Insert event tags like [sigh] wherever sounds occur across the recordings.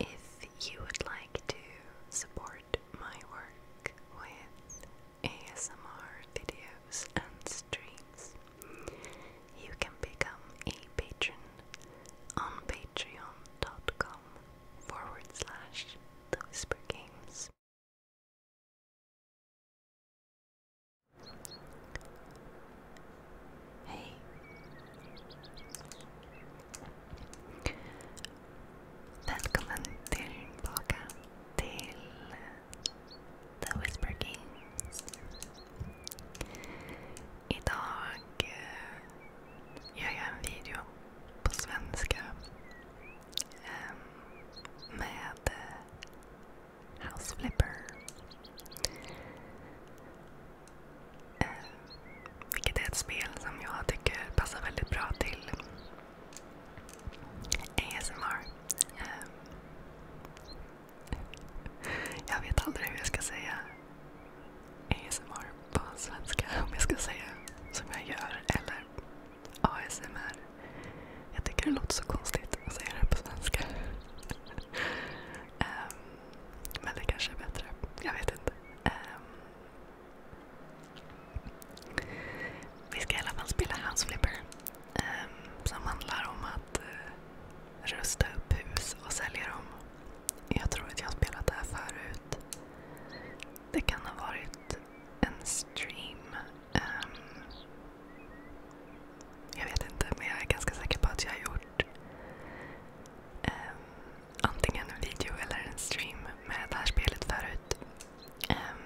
If you would like to support my work with ASMR videos and streams, you can become a patron on patreon.com forward Hej. Välkommen tillbaka till The Whisper King. Idag eh, gör jag en video på svenska ehm, med eh, House Flipper. Eh, vilket är ett spel som jag tycker passar väldigt bra till ASMR. Eh, jag vet aldrig hur jag ska säga ASMR på svenska om jag ska säga som jag gör eller ASMR. Jag tycker det låter så konstigt att säga det på svenska. um, [laughs] men det kanske är bättre. Jag vet inte. Um, vi ska i alla fall spela House Flipper. Um, som handlar om att uh, rusta upp hus och sälja dem. Jag tror att jag har spelat det här förut. Det kan ha varit en stream Ehm, jag vet inte, men jag är ganska säker på att jag har gjort ehm, antingen en video eller en stream med det här spelet förut. Ehm,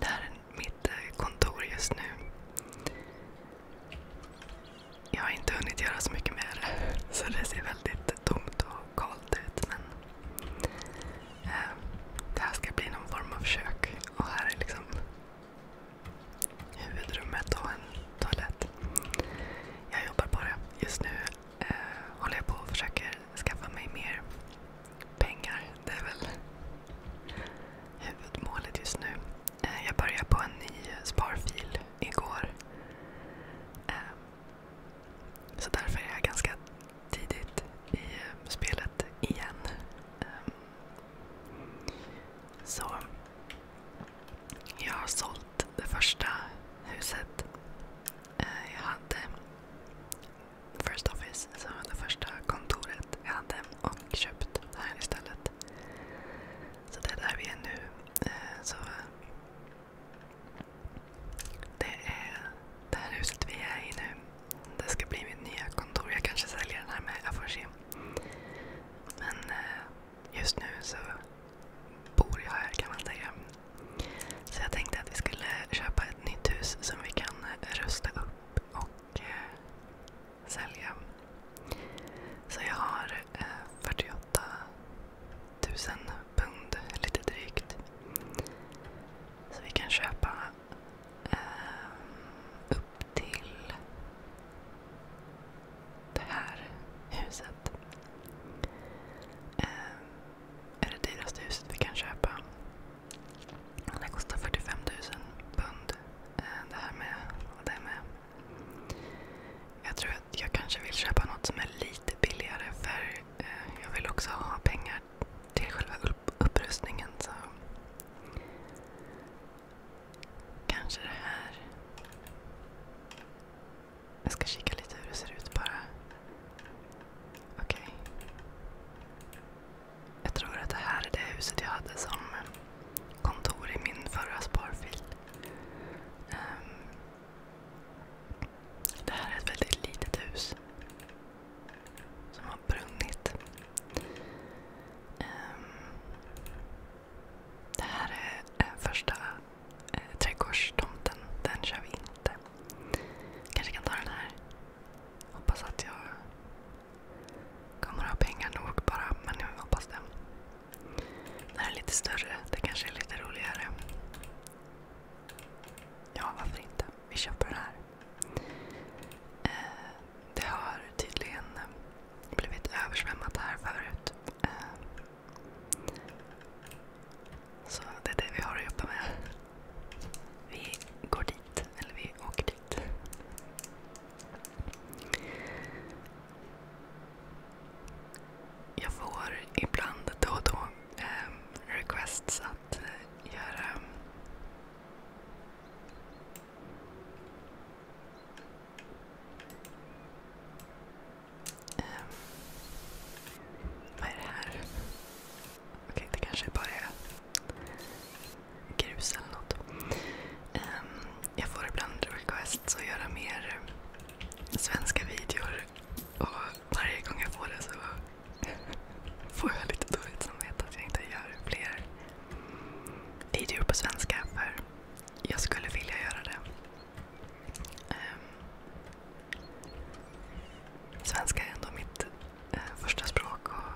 det här är mitt eh, kontor just nu. Jag har inte hunnit göra så mycket mer, [laughs] så det ser väldigt tomt och kallt ut. Men det här ska bli någon form av kök. Och här är liksom huvudrummet och en toalett. Jag jobbar på det. Just nu eh, håller jag på och försöker skaffa mig mer pengar. Det är väl huvudmålet just nu. Eh, jag började på en ny sparfil igår. Eh, så därför är jag ganska tidigt i eh, spelet igen. Um, så jag har sålt det första huset. Uh, jag hade First Office, alltså det första kontoret jag hade och köpt det här istället. Så det är där vi är nu. Uh, så det är det här huset vi är i nu. Det ska bli mitt nya kontor. Jag kanske säljer den här med, jag Men eh, just nu så bor jag här kan man säga. Så jag tänkte att vi skulle köpa ett nytt hus som vi kan eh, rusta upp och eh, sälja. Så jag har 48 000 pund, lite drygt. köpa Ehm, upp till det här huset. Eh, är det dyraste huset vi kan köpa. Det kostar 45 000 pund. Ehm, jag tror att jag kanske vill köpa något som är lite billigare för eh, jag vill också ha pengar till själva upp upprustningen så kanske det här. Jag ska kika lite hur det ser ut bara. Okej. Okay. Jag tror att det här är det huset jag hade som kontor i min förra sparfil. Um, det här är ett väldigt litet hus som har brunnit. Ehm, det här är eh, första eh, trädgårdstomten. Den kör vi inte. Kanske kan ta den här. Hoppas att jag kommer ha pengar nog bara, Den här är lite större. Det kanske är lite roligare. Ja, varför inte? Vi köper den här. Eh, det har tydligen eh, blivit översvämmat här förut. Eh, så det är det vi har att jobba med. Vi går dit, eller vi åker dit. Jag får ibland då och då eh, requests att göra ehm, vad är det här? Okej, det kanske bara är grus eller något. Ehm, jag får ibland requests att göra mer svenska videor. Och varje gång jag får det så får jag lite dåligt samvete att jag inte gör fler videor på svenska. För jag skulle vilja göra det. Um, svenska är ändå mitt uh, första språk. Och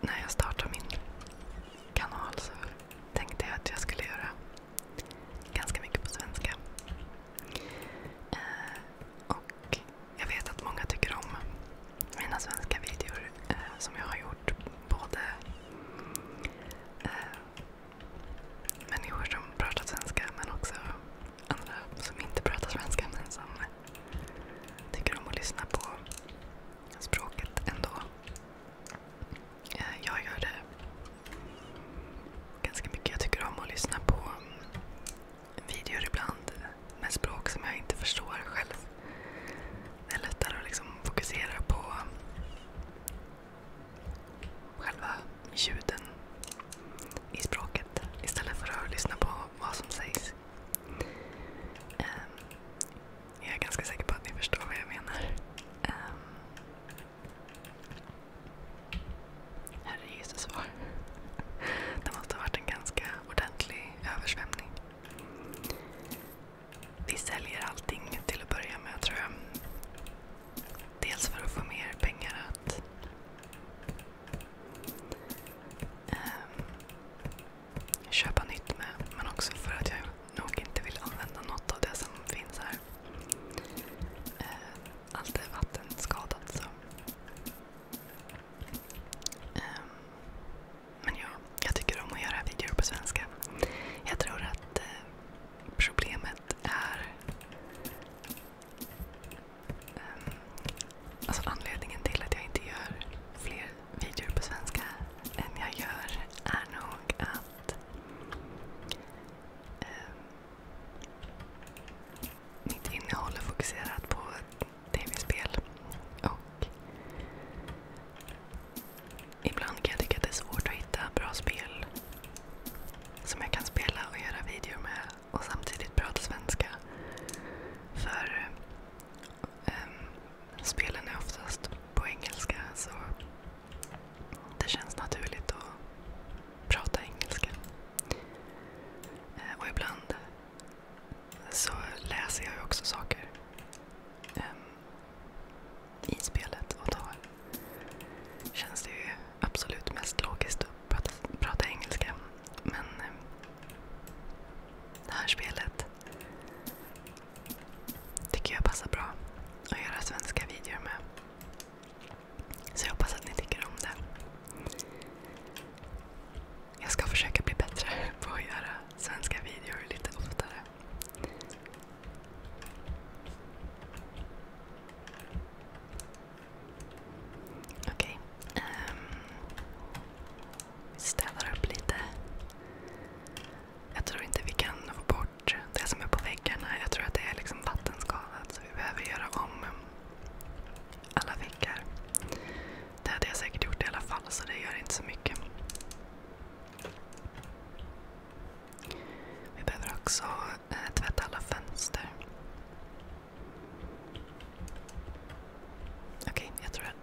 när jag startade min kanal så tänkte jag att jag skulle göra ganska mycket på svenska. Eh, och jag vet att många tycker om mina svenska videor eh, som jag har gjort. Både eh, människor som pratar svenska men också andra som inte pratar svenska men som tycker om att lyssna på språket ändå. Jag gör det ganska mycket. Jag tycker om att lyssna på mm, videor ibland med språk som jag inte förstår själv. Det är lättare att liksom fokusera på själva ljuden i språket istället för att lyssna på vad som sägs. Ehm, jag är ganska säker på att ni förstår vad jag menar. Ehm, Herre Jesus var. Det måste ha varit en ganska ordentlig översvämning. Vi säljer allting till att börja med tror jag. Dels för att få mer pengar att um, köpa nytt med men också för att jag nog inte vill använda något av det som finns här. Uh, allt är vattenskadat. Så. Um, men ja, jag tycker om att göra videor på svenska. Jag tror att uh, problemet är... Um, alltså anledningen till att jag inte gör fler videor på svenska än jag gör är nog att um, mitt innehåll är fokuserat på tv-spel. Och ibland kan jag tycka att det är svårt att hitta bra spel som jag kan spela och göra videor med och samtidigt prata svenska. För ehm, spelen är oftast på engelska det känns naturligt att prata engelska. Eh, och ibland så läser jag ju också saker ehm, i spelet och då känns det ju absolut mest logiskt att prata, prata engelska. Men ehm, det här spelet tycker jag passar bra att göra svenska videor med. Så jag hoppas att ni tycker om det. Jag ska försöka bli bättre [laughs] på att göra svenska videor lite oftare. Okej. Okay. Um, ehm, städar upp lite. Jag tror inte vi kan få bort bort det som är på väggarna. Jag tror att det är liksom vattenskadat så vi behöver göra om alla väggar. Det hade jag säkert gjort i alla fall så det gör inte så mycket. Vi behöver också eh, tvätta alla fönster. Okej, jag tror att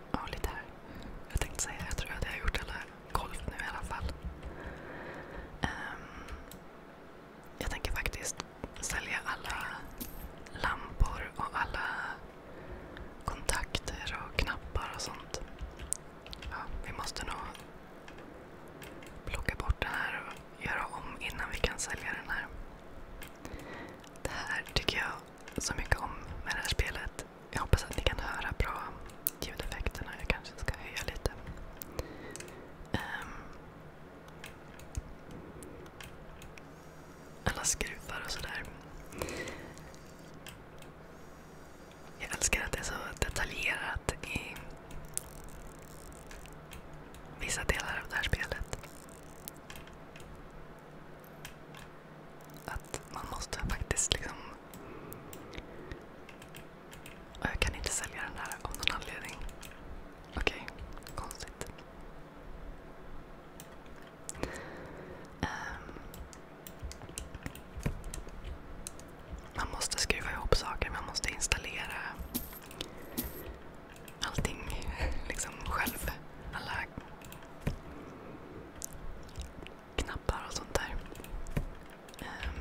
jag har gjort alla golv nu i alla fall. Ehm, jag tänker faktiskt sälja alla lampor och alla kontakter och knappar och sånt. Ja, vi måste nog plocka bort den här och göra om innan vi kan sälja den här. Det här tycker jag så mycket om med det här spelet. Jag hoppas att ni kan höra bra ljudeffekterna. Jag kanske ska höja lite. Ehm, alla skruvar och sådär. Jag älskar att det är så detaljerat i vissa delar av det här spelet. Att man måste faktiskt liksom och jag kan inte sälja den här av någon anledning. Okej, okay. konstigt. Um, man måste skruva ihop saker, man måste installera allting [laughs] liksom själv. Alla knappar och sånt där. Um,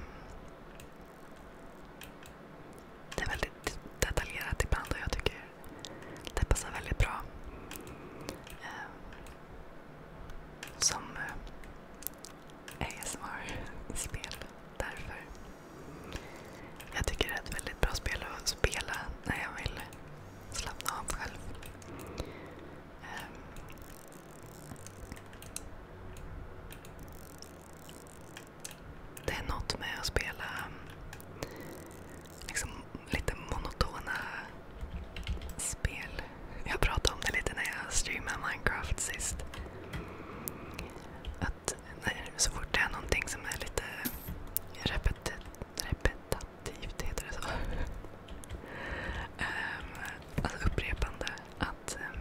det är väldigt detaljerat ibland och jag tycker det passar väldigt bra. Eh, som eh, ASMR-spel. Därför. Jag tycker det är ett väldigt bra spel att spela när jag vill slappna av själv. Ehm. Det är något med att spela mm, liksom lite monotona spel. Jag pratade om det lite när jag streamade Minecraft sist. så fort det är någonting som är lite repetitivt, [laughs] ehm, alltså upprepande att eh,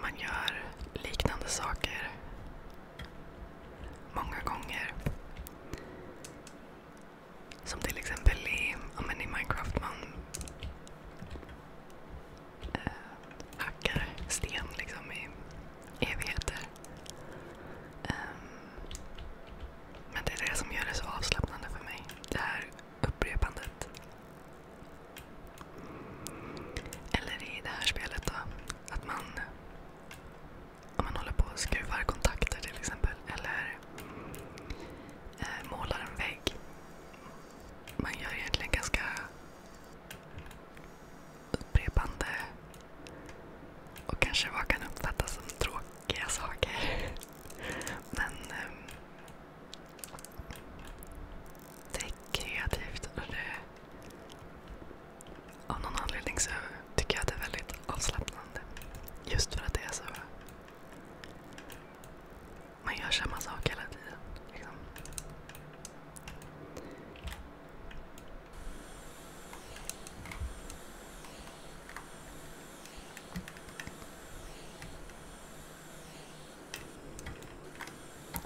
man gör liknande saker många gånger. Som till exempel i, i Minecraft. Man äh, hackar sten liksom i evigheter. Ähm, men det är det som gör det så avslappnande för mig. Det här upprepandet. Eller i det här spelet då, att man om man håller på och skruvar kontakter till exempel. Eller eh, målar en vägg. Man gör egentligen ganska upprepande och kanske vad kan uppfattas som tråkiga saker. [laughs] Men ehm, det är kreativt. Och det, av någon anledning så tycker jag att det är väldigt avslappnande. Just för att det är så... Man gör samma sak hela tiden. Liksom.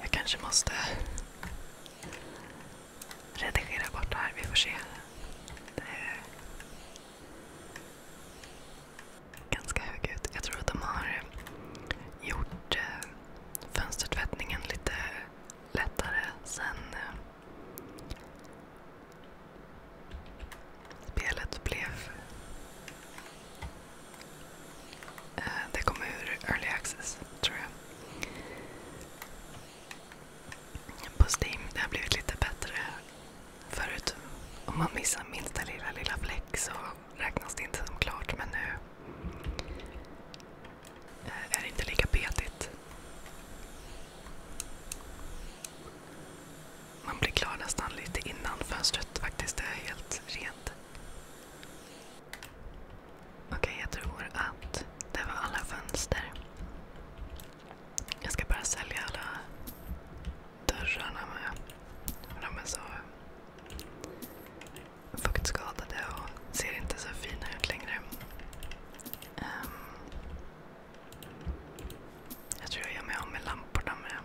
Jag kanske måste redigera bort det här. Vi får se. ganska hög Jag tror att de har gjort eh, fönstertvättningen lite lättare sen eh, Spelet blev... Eh, det kom ur Early Access, tror jag. På Steam. Det har blivit lite bättre förut. Om man missar minsta lilla, lilla fläck så räknas det inte som klart. Men nu eh, är det inte lika petigt. Man blir klar nästan lite innan fönstret faktiskt är helt rent. Okej, okay, jag tror att det var alla fönster. Jag ska bara sälja alla dörrarna med. De är så fuktskadade och ser inte så fina ut längre. Um, jag tror jag gör mig av med lamporna med.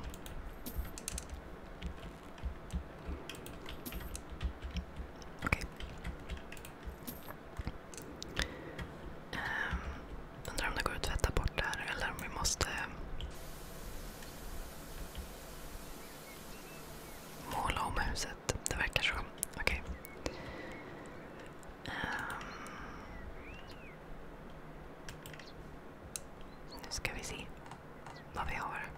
Okej. Okay. Um, ehm, undrar om det går att tvätta bort det här eller om vi måste måla om huset. Det verkar så. Okej. Okay. Um, ehm. Nu ska vi se vad vi har.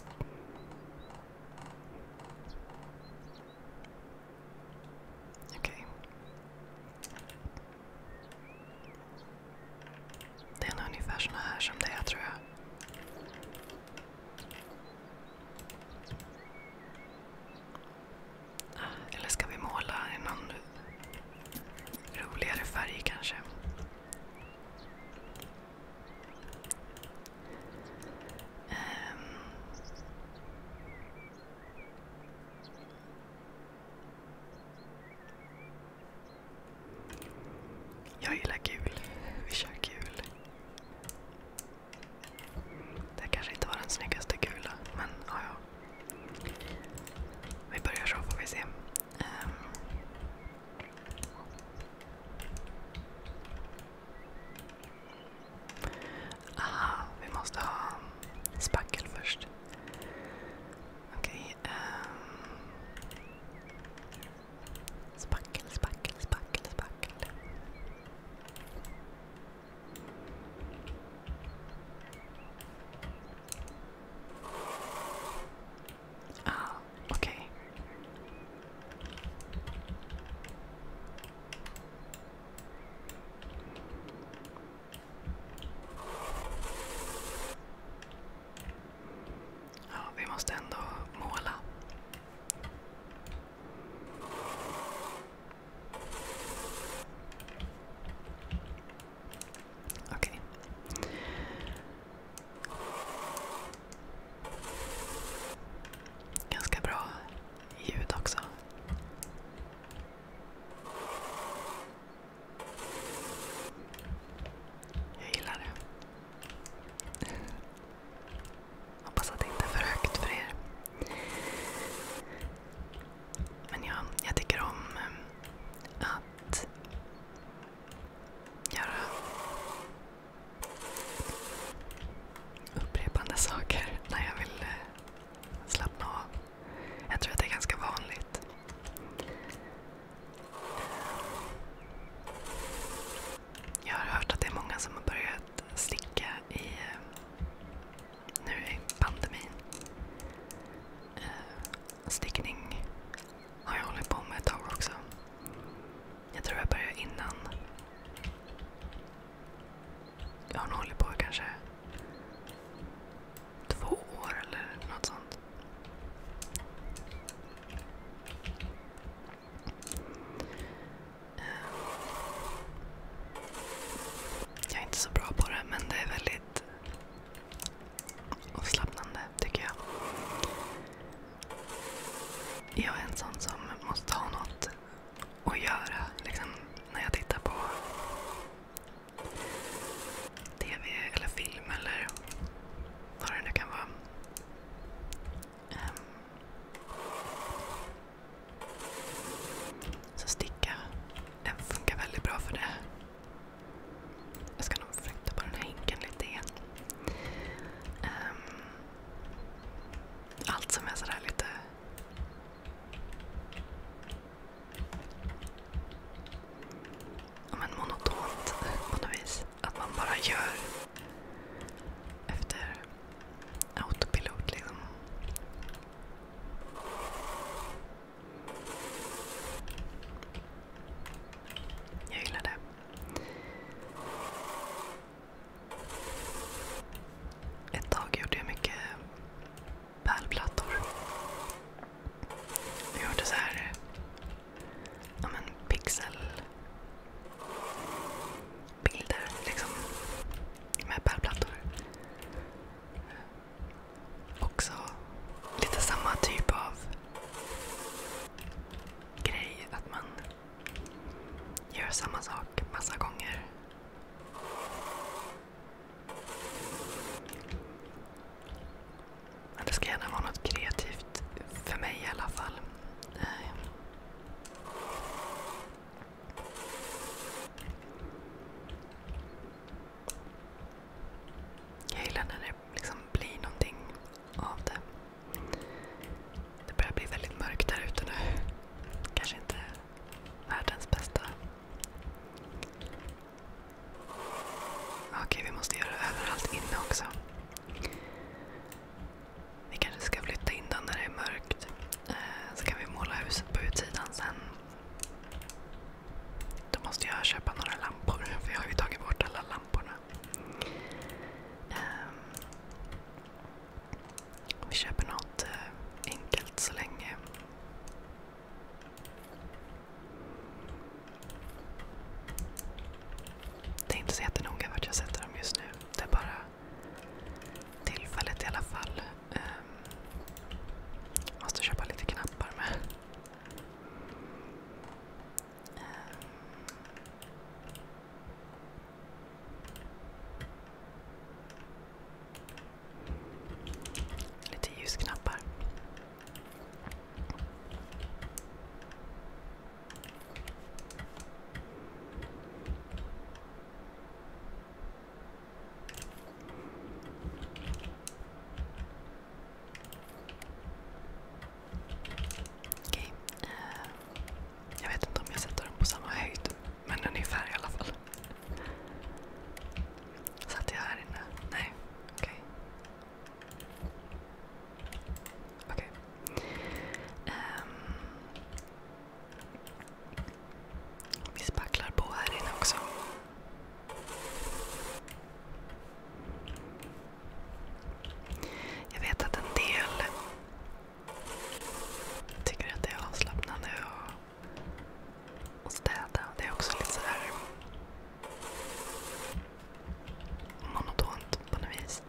Det är nog ungefär såna här som det är tror jag. Ah, eller ska vi måla i någon roligare färg kanske? Um. Jag gillar gul. Vi kör gul. Det kanske inte var den snyggaste gula, men ja, ja. Vi börjar så får vi se. Um. Aha, vi måste ha spackel först. Okej. Okay, um. Ehm. Spackel, spackel, spackel, spackel. Ah, okej. Okay. Ja, vi måste ändå måla. Okej. Okay. Ganska bra ljud också. Jag gillar det. Hoppas att det inte är för högt för er. Men ja, jag tycker om eh, att göra upprepande saker när jag vill eh, slappna av. Jag tror att det är ganska vanligt. Jag har hört att det är många som har börjat sticka i, eh, nu i pandemin. Eh, stickning har jag hållit på med ett tag också. Jag tror jag började innan. Jag har nog hållit på kanske två år eller något sånt. Jag är inte så bra på det men det är väldigt avslappnande tycker jag. Jag är en sån som måste ha något att göra. Liksom, när jag tittar på TV eller film eller vad det nu kan vara. Ehm. så sticka funkar väldigt bra för det. Jag ska nog flytta på den här hinken lite igen. Um, allt som är sådär lite... Ja, men monotont på något vis. Att man bara gör efter autopilot liksom. Jag gillar det. Ett tag gjorde jag mycket pärlplattor. Jag gjorde så här, ja men pixelbilder liksom med pärlplattor också lite samma typ av grej. Att man gör samma sak massa gånger. det ska gärna vara något kreativt. För mig i alla fall liksom blir någonting av det. Det börjar bli väldigt mörkt där ute nu. Kanske inte världens bästa. Okej, vi måste göra det överallt inne också. Vi kanske ska flytta in den när det är mörkt. Eh, så kan vi måla huset på utsidan sen. Då måste jag köpa några lampor, för jag har ju tagit bort alla lamporna. Um, vi köper något eh, enkelt så länge. Det är inte så jättenoga vart jag sätter dem just nu. Det är bara tillfället i alla fall. Um, måste köpa lite knappar med. Um. Lite ljusknappar. Okej. Okay. Uh, eh, jag vet inte om jag sätter dem på samma höjd, men ungefär i alla fall. Satt jag här inne? Nej. Okej. Okay. Okej. Okay. Um, ehm, vi spacklar på här inne också. Jag vet att en del tycker att det är avslappnande att städa. Det är också lite så här monotont på något vis.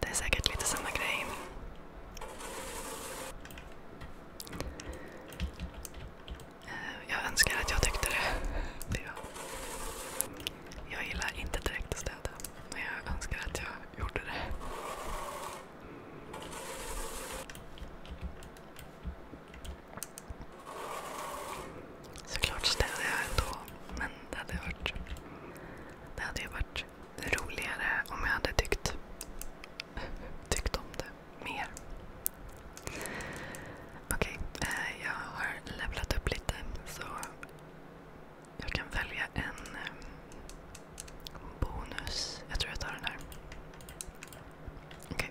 Det är säkert lite samma grej. Eh, jag önskar att jag tyckte det. Jag gillar inte direkt att städa, men jag önskar att jag gjorde det. Såklart städade jag ändå, men det hade, varit, det hade ju varit roligare om jag hade tyckt, tyckt om det mer. Okej, okay, eh, jag har levlat upp lite så jag kan välja en eh, bonus. Jag tror jag tar den här. Okej. Okay.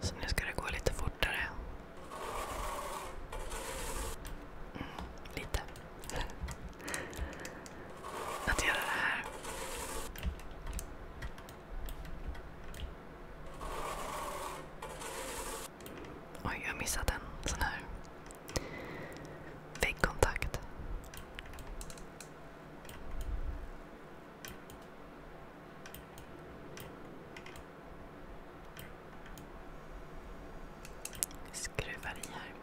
Så nu ska det gå lite fortare. Mm, lite. [laughs] Att göra det här. Oj, jag missade en sån här väggkontakt. skruvar i här.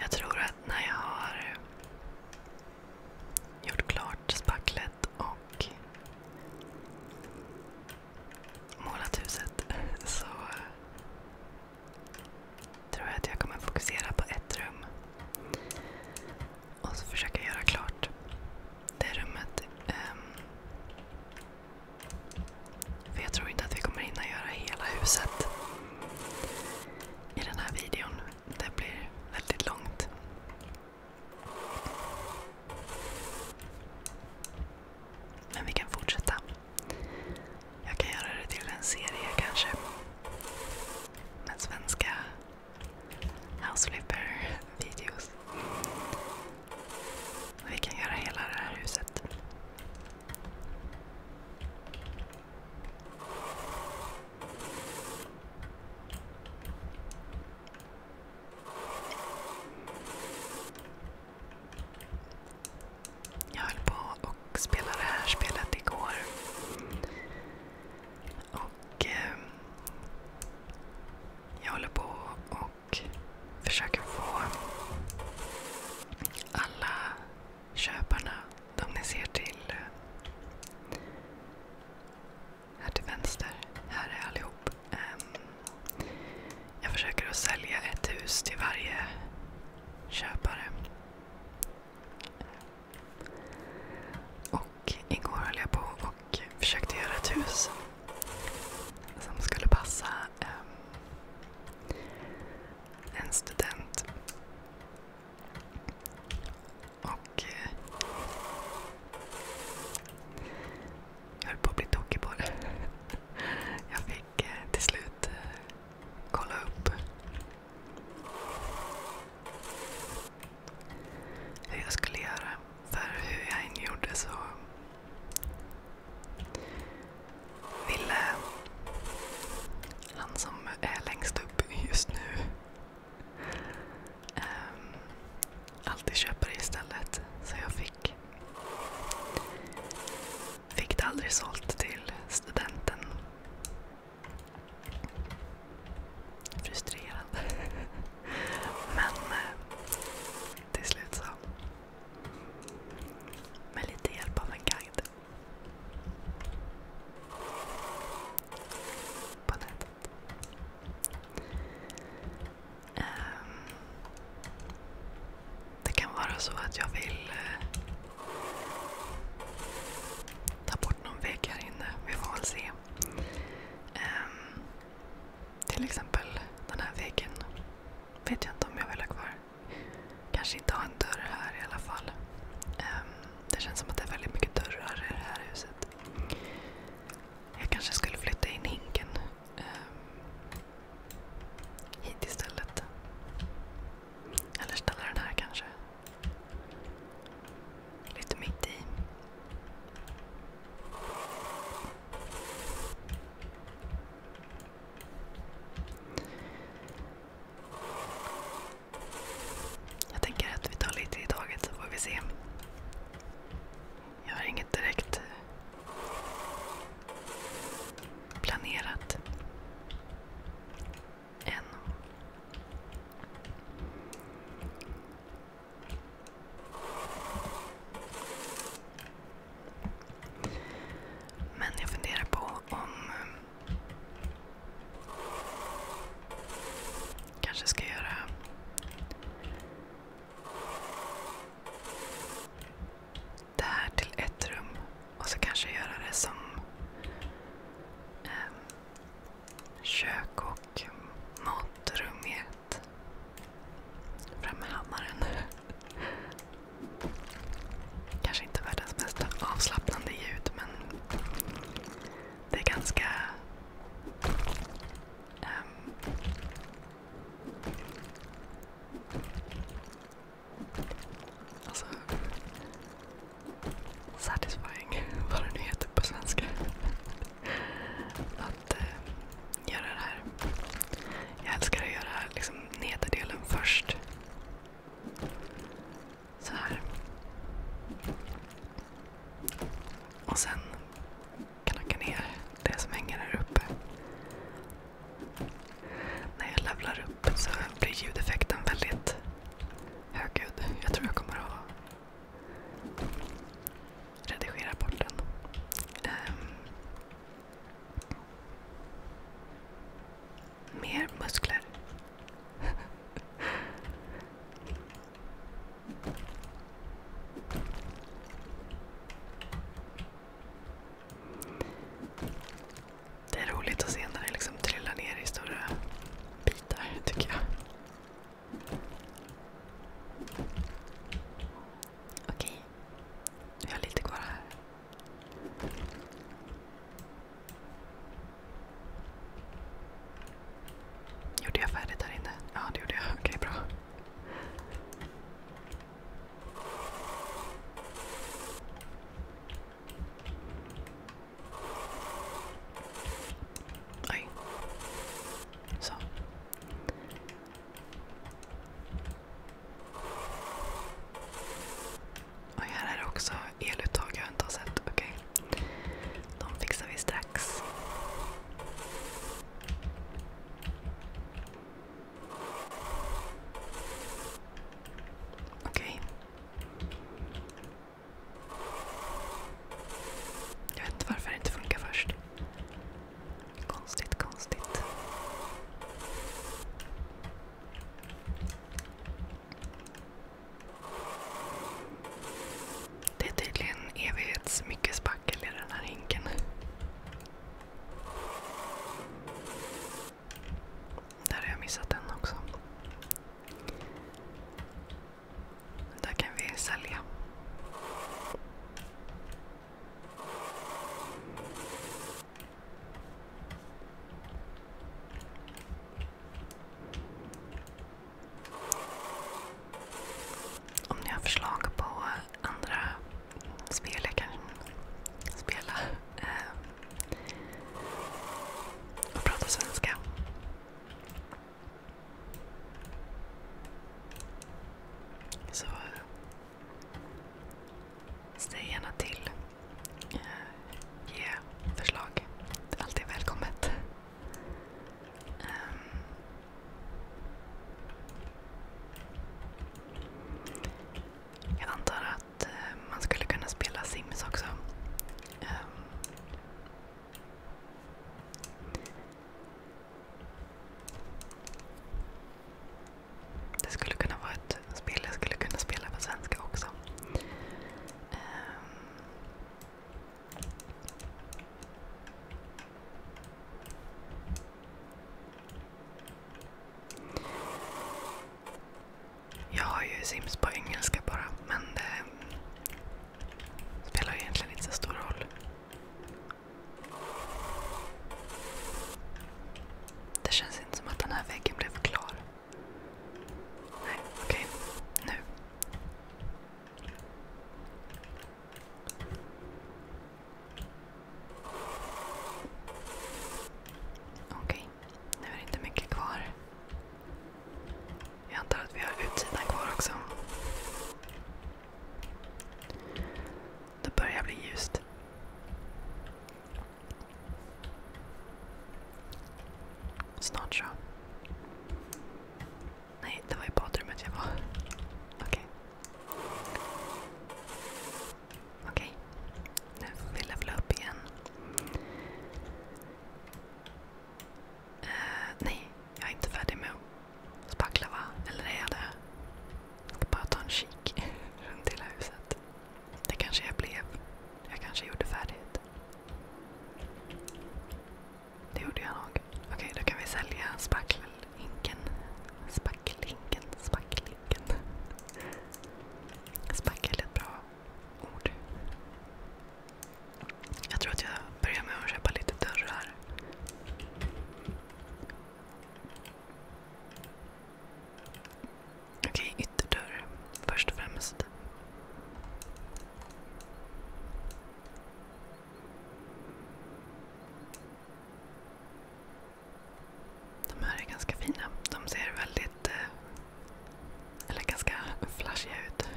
Jag tror att när jag har gjort klart spacklet och målat huset [laughs] så eh, tror jag att jag kommer fokusera på ett rum. Och så försöka göra klart det rummet. Ehm, för jag tror inte att vi kommer hinna göra hela huset i den här videon det blir väldigt långt. Men vi kan fortsätta. Jag kan göra det till en serie kanske. Med svenska house videos Vi kan göra hela det här huset. Jag höll på och spelade det här spelet igår. Och ehm, jag håller på och försöker få alla köparna om ni ser till eh, här till vänster. Här är allihop. Ehm, jag försöker att sälja ett hus till varje köpare. Och igår höll jag på och försökte göra ett hus som skulle passa ehm, en student och... Eh, jag höll på att bli tokig på det. [laughs] Jag fick eh, till slut eh, kolla upp hur jag skulle göra. För hur jag än gjorde så ville han som är längst upp just nu Ehm, alltid köpa det istället. Så jag fick, fick det aldrig sålt till studenten. Frustrerad. Men eh, till slut så. Med lite hjälp av en guide. Ehm, det kan vara så att jag vill eh, ta bort någon vägg här inne. Vi får väl se. Ehm, till exempel den här väggen. Vet jag inte om jag vill ha kvar. Kanske inte ha en dörr här i alla fall. Um, det känns som att det är väldigt mycket dörrar i det här huset. Jag kanske skulle flytta in hinken um, hit istället. Eller ställa den här kanske. Lite mitt i. Jag tänker att vi tar lite i taget så får vi se. Jag har inget direkt eh, planerat. Än. Men jag funderar på om eh, Kanske ska göra det här till ett rum och så kanske göra det som eh, kök och matrum i ett. Fram med hammaren. Kanske inte världens mest avslappnande ljud men det är ganska... Ehm, alltså, satisfying, [laughs] vad det nu heter på svenska. Att eh, göra det här. Jag älskar att göra liksom, nederdelen först. Så här. Och sen knacka ner det som hänger här uppe. När jag levlar upp så blir ljudeffekten väldigt högljudd. Jag tror jag kommer att redigera bort den. Um, mer muskler. Det är roligt att se när det liksom trillar ner i stora bitar, tycker jag. Okej, vi har lite kvar här. Gjorde jag färdigt här inne? Ja, det gjorde jag. Okej, bra. Oj. Så. Oj, här är det också eluttag jag inte har sett. Okej. Okay. De fixar vi strax. Okej. Okay. Jag vet inte varför det inte funkar först. Konstigt, konstigt. Det är tydligen evighets mycket spackel i den här hinken. Där har jag missat den också. Där kan vi sälja. Om ni har förslag på andra spel jag kan spela eh, och prata svenska. Så säg gärna till. Eh, ge förslag. Allt är välkommet. Um, jag antar att uh, man skulle kunna spela Sims också. Um, det skulle kunna vara ett spel jag skulle kunna spela på svenska också. Um, jag har ju Sims på engelska bara, men det spelar egentligen inte så stor roll. Det känns inte som att den här väggen blev klar. Nej, okej. Okay. Nu. Okej, nu är det inte mycket kvar. Jag antar att vi har utsidan kvar också. Det börjar bli ljust. Snart så. Nej, det var i badrummet jag var. Okej. Okej. Nu får vi levla upp igen. Eh, nej, jag är inte färdig med att spackla va? Eller är jag det? Jag ska bara ta en kik [laughs] runt hela huset. Det kanske jag blev. Jag kanske gjorde färdigt. Det gjorde jag nog. Okej, då kan vi sälja spackelhinken. Spackelhinken, spackelhinken. Spackel är ett bra ord. Jag tror att jag börjar med att köpa lite dörrar. Okej, okay, ytterdörr först och främst. De här är ganska fina. De ser väldigt, eh, eller ganska flashiga ut.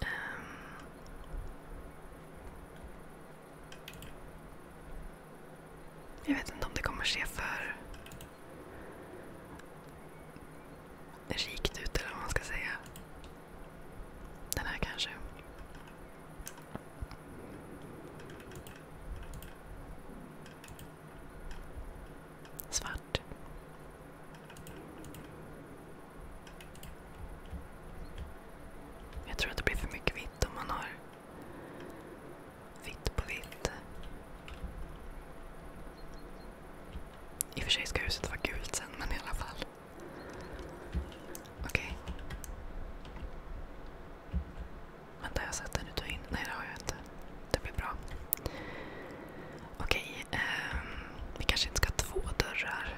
Ehm. Jag vet inte om det kommer ske för rikt ut eller vad man ska säga. Den här kanske. Svart. Jag tror att det blir för mycket vitt om man har Vitt på vitt. I och för sig ska huset vara gult sen, men i alla fall. Okej. Vänta, har jag sett den ut och in? Nej, det har jag inte. Det blir bra. Okej, ehm, vi kanske inte ska ha två dörrar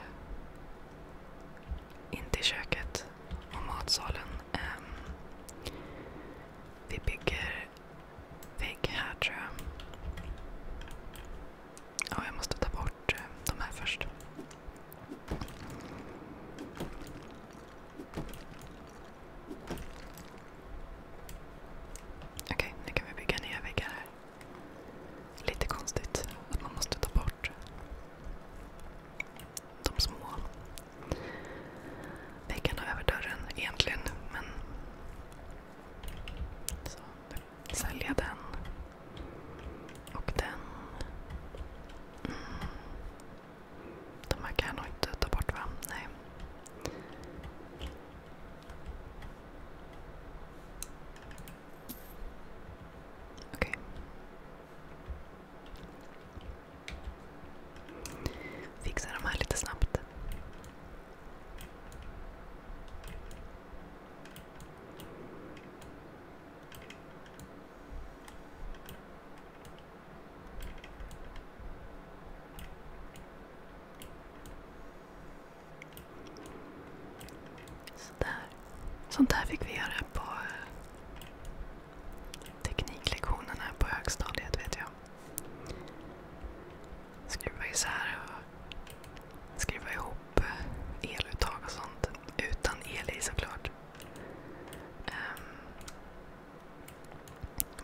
in till köket och matsalen. Ehm, vi bygger vägg här tror jag. Ja, jag måste ta bort eh, de här först. Okej, nu kan vi bygga nya väggar här. Lite konstigt att man måste ta bort de små väggarna över dörren egentligen. Men så, sälja den och den. Mm. De här kan jag nog inte ta bort va? Nej. Okej. Okay. Fixa de här lite snabbt. Sånt här fick vi göra på eh, tekniklektionerna på högstadiet vet jag jag. Skruva isär och skruva ihop eh, eluttag och sånt. Utan el i såklart. Um,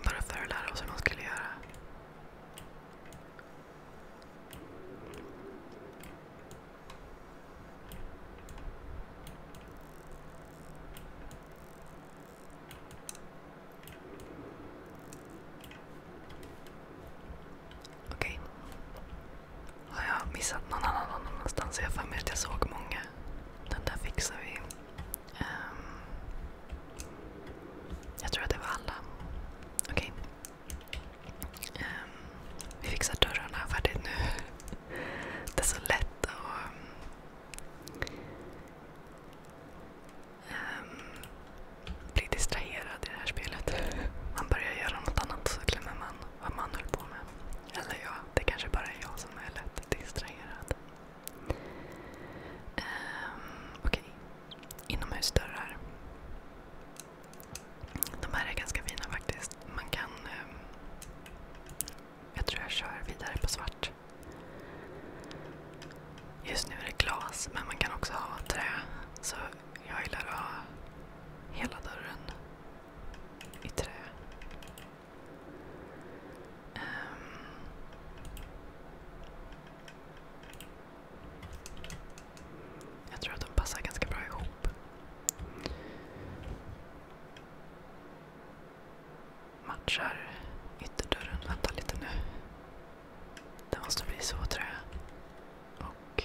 bara för att lära oss hur man skulle göra. Okej. Har jag missat någon annan någon annanstans? Jag har för mig att jag såg många. Den där fixar vi. Um, jag tror att det var alla. Okej. Okay. Um, ehm. vi fixar dörrarna färdigt nu. [laughs] Det är så lätt att um, um, blir distraherad i det här spelet. Man börjar göra något annat så glömmer man vad man höll på med. Eller ja, det kanske bara är jag som är lätt distraherad. Um, Okej. Okay. Inomhusdörrar. De här är ganska fina faktiskt. Man kan um, jag tror jag kör vidare på svart. Just nu är det glas, men man kan också ha trä. Så jag gillar att ha hela dörren i trä. Ehm. Jag tror att de passar ganska bra ihop matchar ytterdörren. Vänta lite nu. Det måste bli så tror jag. Och...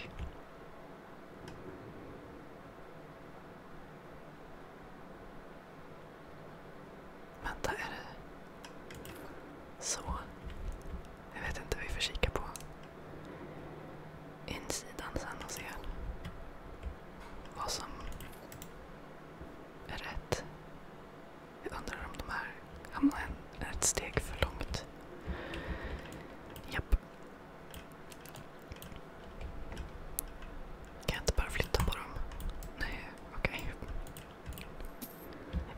Vänta, är det... Så. Jag vet inte, vi får kika på insidan sen och se vad som är rätt. Jag undrar om de här hamnar ett steg för långt. Japp. Kan jag inte bara flytta på dem? Nej, okej. Okay.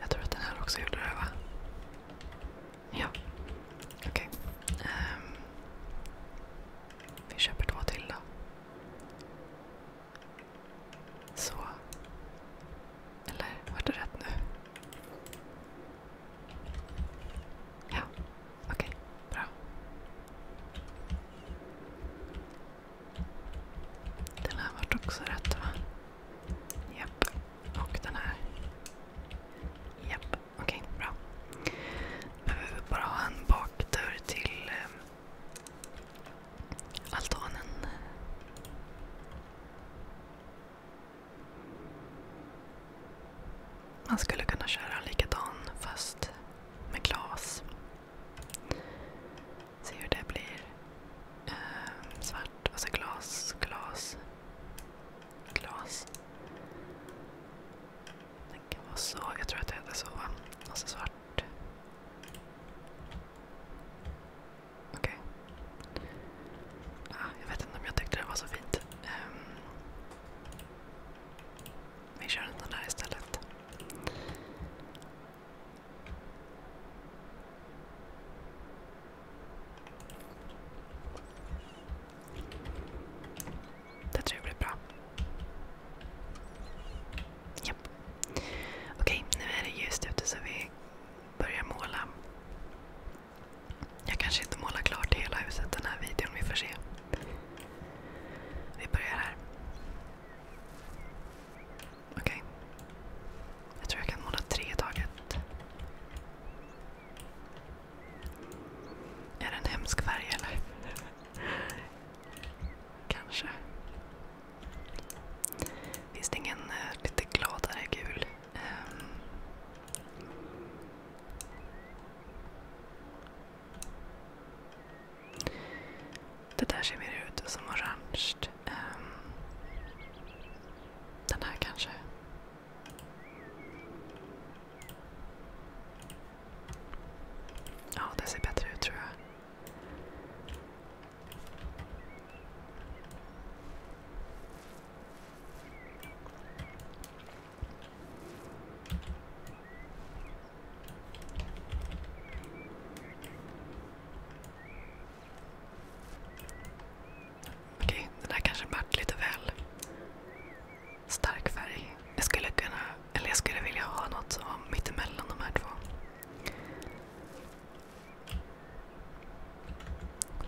Jag tror att den här också gjorde det, va? Ja. Okej. Okay. Um, ehm. vi köper två till då. Så. Eller vart det rätt nu? Ja, okej. Bra. Den här vart också rätt va? Japp. Och den här. Japp. Okej, okay, bra. Behöver bara ha en bakdörr till ehm, altanen. Man skulle kunna köra likadan fast med glas. Se hur det blir. Ehm, svart och så glas, glas, glas. Den kan vara så. Jag tror att det är så. Och svart. Okej. Ah, jag vet inte om jag tyckte det var så fint. Ehm. vi kör den där istället. Det tror jag blir bra. Japp. Okej, nu är det ljust ute så vi börjar måla. Jag kanske inte målar klart hela huset den här videon, vi får se. Vi börjar här. Okej. Okay. Jag tror jag kan måla tre i taget. Är det en hemsk färg eller? Kanske. Finns det ingen eh, lite gladare gul? Um, det där ser mer ut som orange. Ehm. den här kanske? Ja, det ser bättre ut tror jag. Okej, den här kanske vart lite väl stark färg. Jag skulle vilja ha något som var mittemellan de här två.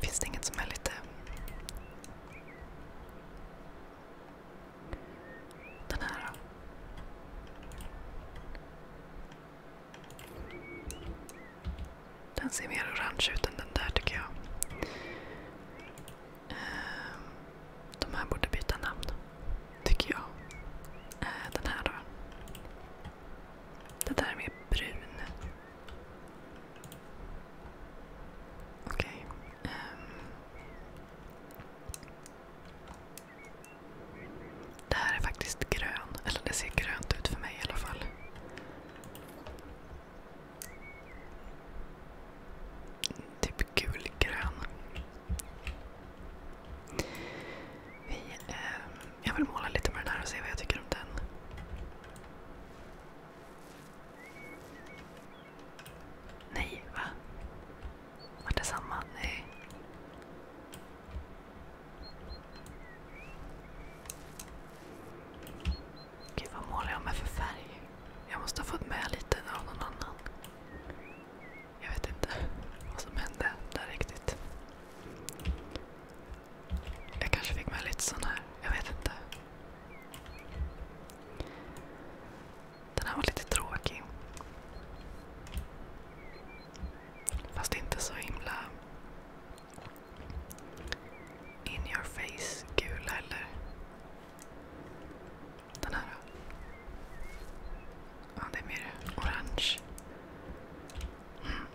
Finns det inget som är lite... Den här då? Den ser mer orange ut än den där tycker jag. Ehm. De här borde byta namn, tycker jag. Äh, den här då. Det där med brun. Okej. Okay. Um. Ehm. Det här är faktiskt grön. Eller det ser grönt ut för mig i alla fall. Typ gulgrön. Vi, eh, jag vill måla lite med den här och se vad jag tycker om den. Nej, va? Var det samma? Nej. Gud, vad målar jag med för färg? Jag måste ha fått med lite av någon annan. Jag vet inte vad som hände där riktigt. Jag kanske fick med lite sån här. Jag vet inte. Den här var lite tråkig. Fast inte så himla in your face gul heller. Den här då? det är mer orange. Mm.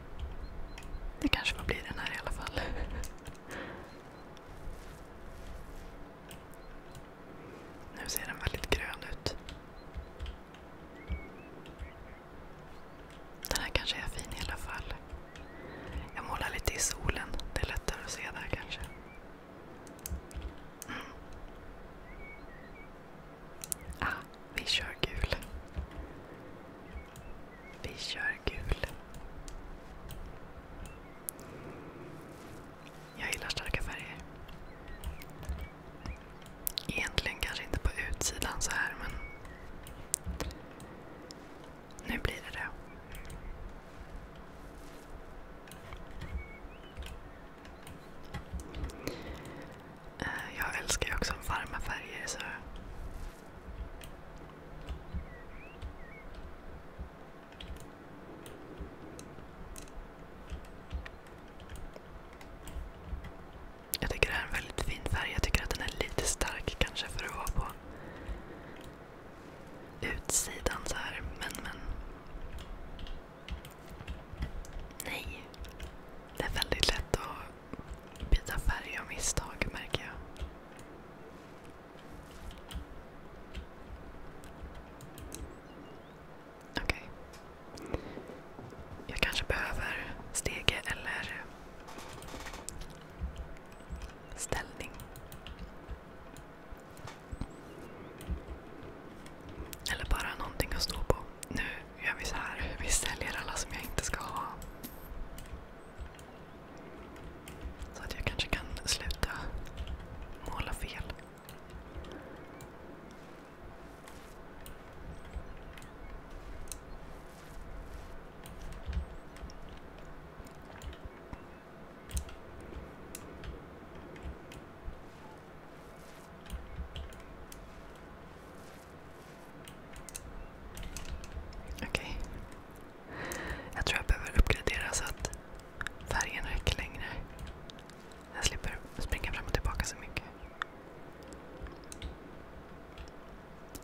Det kanske får bli den här i alla fall. [laughs] Nu ser den väldigt grön ut. Den här kanske är fin i alla fall. Jag målar lite i solen. Det är lättare att se där kanske. Mm. Ah, vi kör gul. Vi kör gul. Jag gillar starka färger. Egentligen kanske inte på utsidan så här, men nu blir det det. Eh, jag älskar ju också varma färger. jag tycker det här är en väldigt fin färg. Jag tycker att den är lite stark kanske för att vara på utsidan så här. Men, men Nej. Det är väldigt lätt att byta färg av misstag märker jag. Okej. Okay. Jag kanske behöver stege eller ställning. Eller bara någonting att stå på. Nu gör vi så här. Vi säljer alla som jag inte ska ha. Så att jag kanske kan sluta måla fel. Okej. Jag tror jag behöver uppgradera så att färgen räcker längre. Jag slipper springa fram och tillbaka så mycket.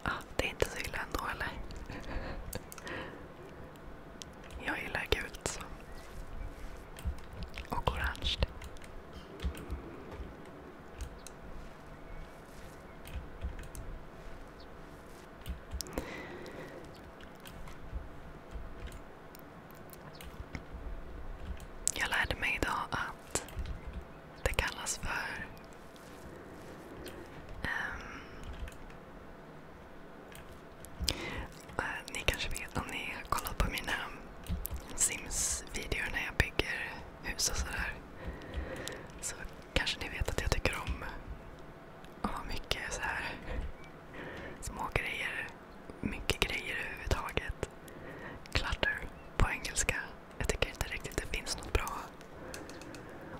Ah, det är inte så illa ändå eller? [laughs] Jag gillar gult så. Och orange. Jag lärde mig idag att det kallas för um, Eh, ni kanske vet om ni har kollat på mina Sims-videor när jag bygger hus och sådär. Så kanske ni vet att jag tycker om att ha mycket så här små grejer. Mycket grejer överhuvudtaget. Clutter på engelska. Jag tycker inte riktigt det finns något bra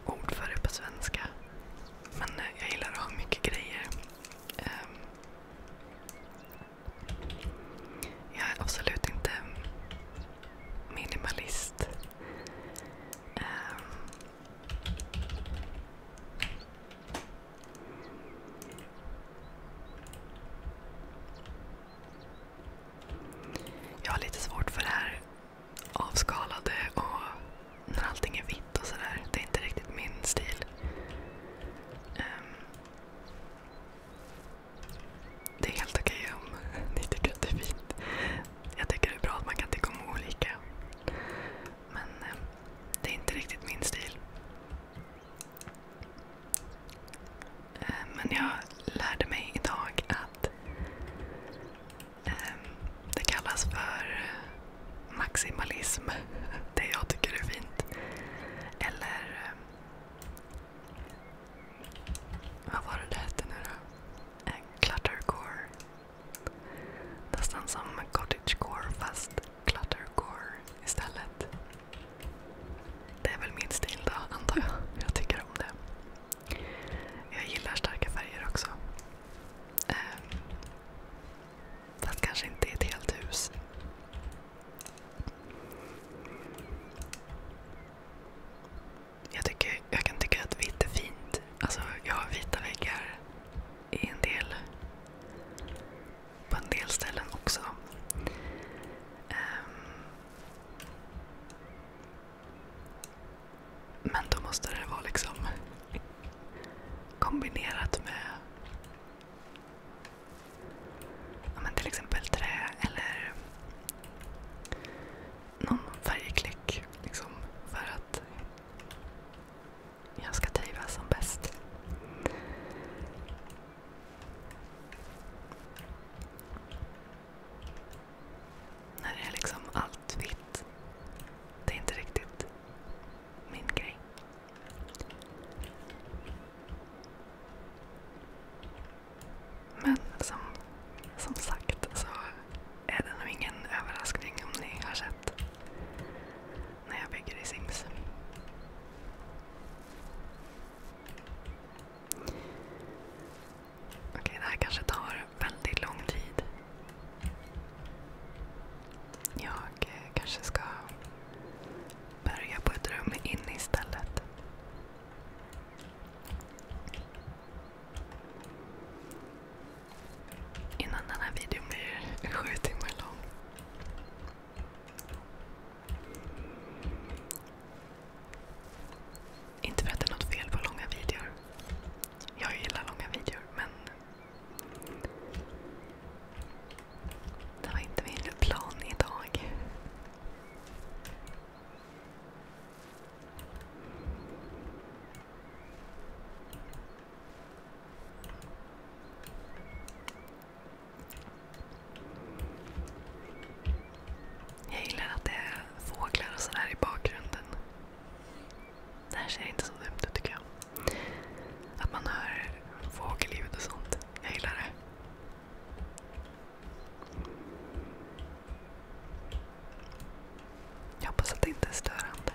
ord för det på svenska. Men eh, jag gillar att ha mycket grejer. Um, jag är absolut inte minimalist. Um, jag har lite svårt för det här avskalade och när allting är vitt och sådär. Det är inte riktigt min stil. Um, det är helt okej om [laughs] ni tycker att det är fint. Jag tycker det är bra att man kan tycka olika. Men eh, det är inte riktigt min stil. Eh, men jag lärde mig idag att eh, det kallas för maximalism. [laughs] det jag tycker är fint. Eller... Eh, vad var det det hette nu då? Cluttercore. Nästan som cottagecore fast cluttercore istället. Det är väl min stil då, [laughs] antar jag. Jag tycker om det. Jag gillar starka färger också. Ehm, fast kanske inte i ett helt hus. Jag, kan tycka att vitt är fint. Alltså, jag har vita väggar på en del ställen också. Ehm. men då måste det vara liksom kombinerat med ja, men till exempel trä eller någon färgklick. Liksom, för att jag ska trivas som bäst. När det är liksom allt vitt. Det är inte riktigt min grej. Men som, som sagt så är det nog ingen överraskning om ni har sett när jag bygger i Sims. Okej, det här kanske tar väldigt lång tid. Jag eh, kanske ska börja på ett rum inne istället. Innan den här videon blir sju timmar lång. Inte för att det är något fel på långa videor. Jag gillar långa videor men det var inte min plan idag. Jag gillar att det är fåglar och sådär i bakgrunden. Det här ser inte så dumt ut tycker jag. Att man hör fågelljud och sånt. Jag gillar det. Jag hoppas att det inte är störande.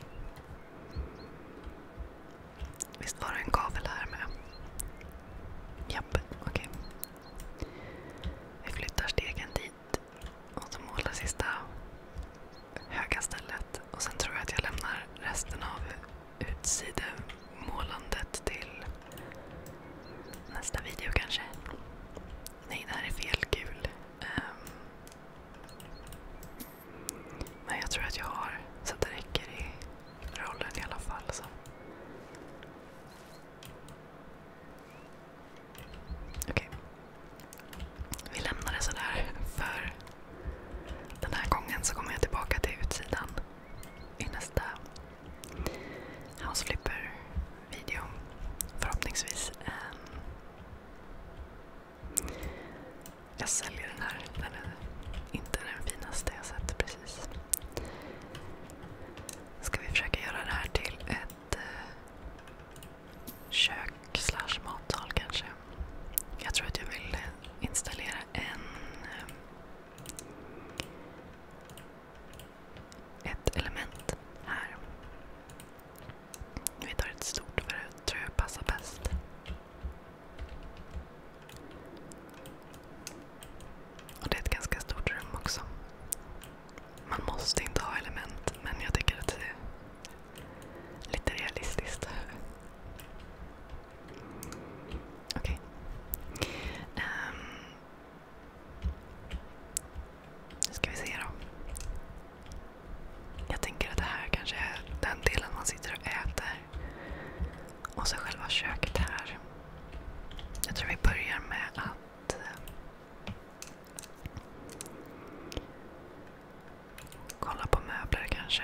Visst var det en gavel här med? Japp, okej. Vi flyttar stegen dit och så målar sista höga stället. Och sen tror jag att jag lämnar resten av utsidemålandet till nästa video kanske. Nej, det här är fel gul. Um, men jag tror att jag har så att det räcker i rollen i alla fall. Så. Okej. Okay. Vi lämnar det sådär för den här gången så kommer jag tillbaka till utsidan i nästa House Flipper-video. Förhoppningsvis. Jag säljer den här. Den är inte den finaste jag sett precis. Ska vi försöka göra det här till ett eh, kök slash matsal kanske. Jag tror att jag vill installera en eh, ett element här. Vi tar ett stort för det tror jag passar bäst. Och det är ett ganska stort rum också. Man måste inte ha element, men jag tycker att det är lite realistiskt. Okej. Okay. Um, ehm. nu ska vi se då. Jag tänker att det här kanske är den delen man sitter och äter. Och så själva köket här. Jag tror vi börjar med att eh, kolla på möbler kanske.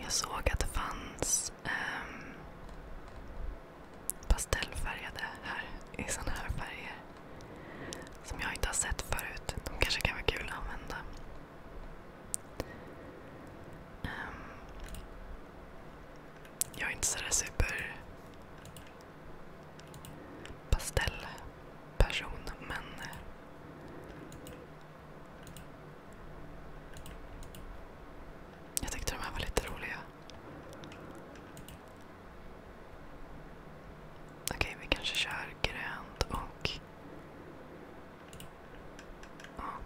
Jag såg att det fanns ehm, pastellfärgade här i sådana här färger. Som jag inte har sett förut. De kanske kan vara kul att använda. Ehm, jag är inte sådär super pastellperson, men... Eh, jag tyckte de här var lite roliga. Okej, vi kanske kör grönt och...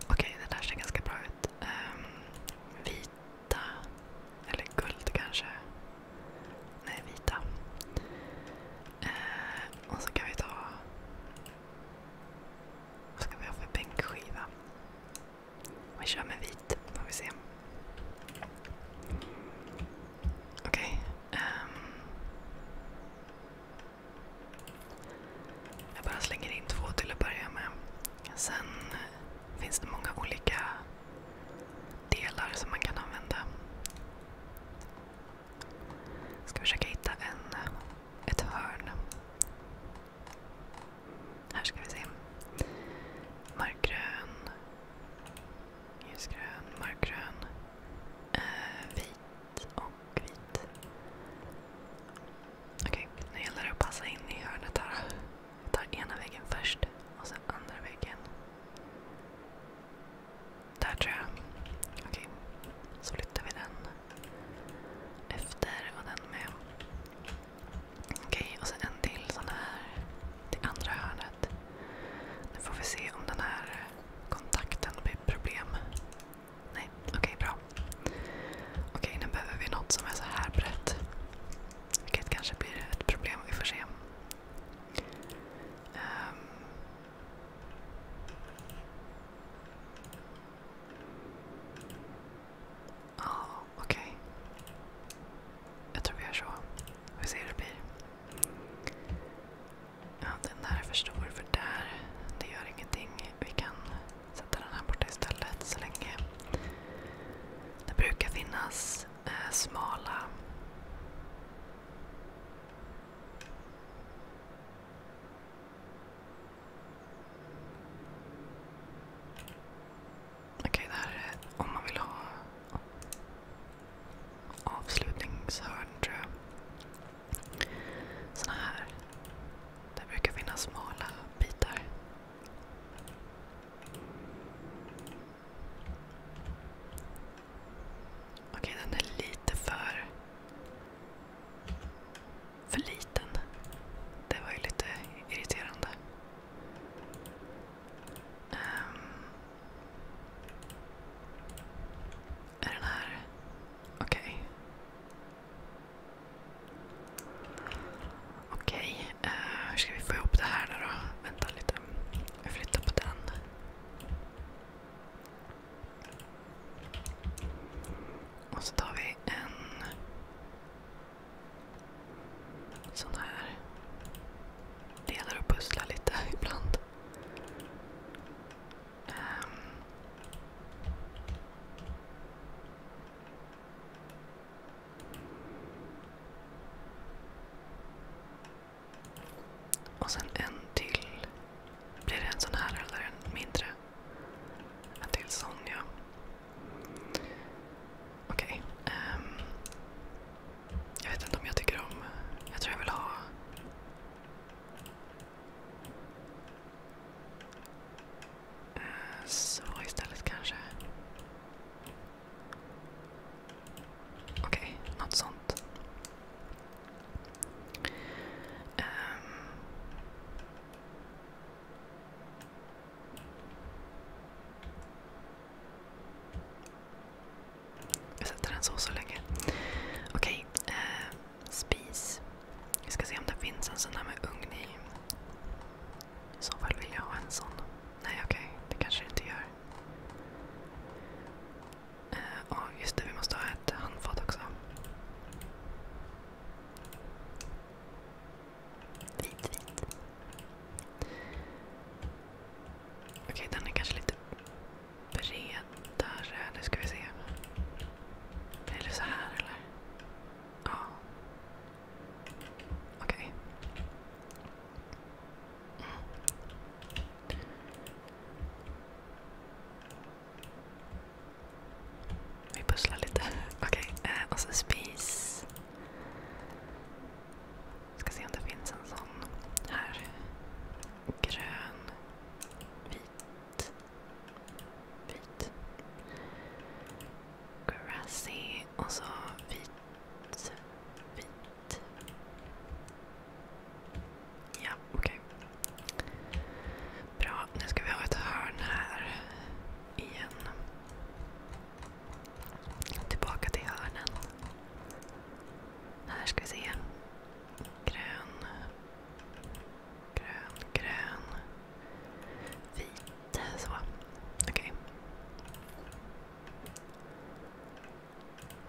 Okej, det där ser ganska bra ut. Ehm, vita, eller guld kanske. Nej, vita. Eh, och så kan vi ta... Vad ska vi ha för bänkskiva? Vi kör med vit, får vi se. Okej. Ehm. jag bara slänger in två till att börja med. Sen finns det många olika delar som man kan använda. Jag ska försöka hitta en, ett hörn. Här ska vi se. Mörkgrön. Ljusgrön, mörkgrön. Eh, vit och vit. Okej, okay, nu gäller det att passa in i hörnet här. Jag tar ena väggen först och sen andra väggen. Där tror jag. Okej. Så flyttar vi den efter och den med. Okej, och sen en till sån här till andra hörnet. Nu får vi se om den här kontakten blir problem. Nej, okej bra. Okej, nu behöver vi något som är så här brett. Vilket kanske blir ett problem, vi får se. Um, Ja, okej. Jag tror vi gör så. Vi ser hur det blir. den där är för stor för där. Det gör ingenting. Vi kan sätta den här borta istället så länge. Det brukar finnas Eh, smala Okej, det här är om man vill ha avslutningshörn tror jag. Såna här. Det brukar finnas smala bitar. Okej, den är lite för... liten. Det var ju lite irriterande. Ehm. är den här... Okej. Okej, eh, hur ska vi få ihop det här då? Vänta lite. Jag flyttar på den. Och så tar vi en sån här. Delar och pusslar lite [laughs] ibland. Um. Och sen en till. Blir det en sån här eller en mindre? En till sån, ja. Okej. Ehm. jag vet inte om jag tycker om... Jag tror jag vill ha... Eh, så istället kanske. Okej, något sånt. Ehm. Jag sätter den så så länge. Okej, ehm, spis. Vi ska se om det finns en sån här med ugn i. I så fall vill jag ha en sån. Nej okej, okay, det kanske det inte gör. Ja, uh, eh, just det. Vi måste ha ett handfat också. Vit, vit. Okej, okay, den är kanske lite bredare. Nu ska vi se. Blir det så här eller? Ja. Okej. Okay. Vi pusslar lite. Eh, och så spis. Ska se om det finns en sån här. Grön, vit, vit. Grassy och så vit, vit hit. Ja, okej. Okay. Bra, nu ska vi ha ett hörn här igen. Tillbaka till hörnen. Här ska vi se. Grön. Grön, grön. Vit. Så. Okej. Okay.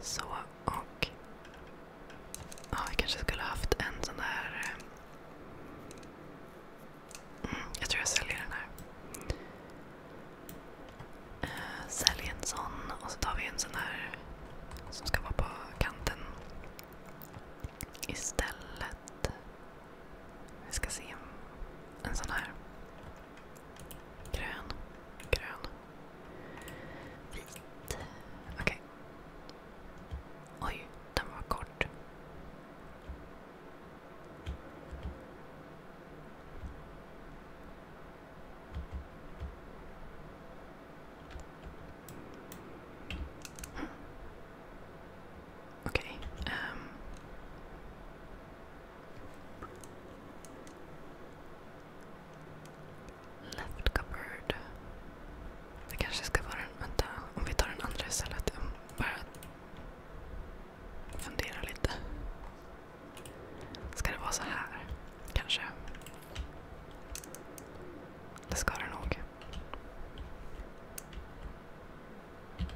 Så och... Ja, vi kanske skulle haft en sån där... Eh, mm, jag tror jag säljer den här. Uh, en sån och så tar vi en sån här som ska vara på kanten istället. Vi ska se. En sån här. Grön. Grön. Vit. Okej. Okay. Oj, den var kort. Mm. Okej. Okay. Um. Ehm. Left cupboard. Det kanske ska vara den... Vänta, om vi tar den andra istället. Bara fundera lite. Ska det vara så här? Kanske. Det ska det nog.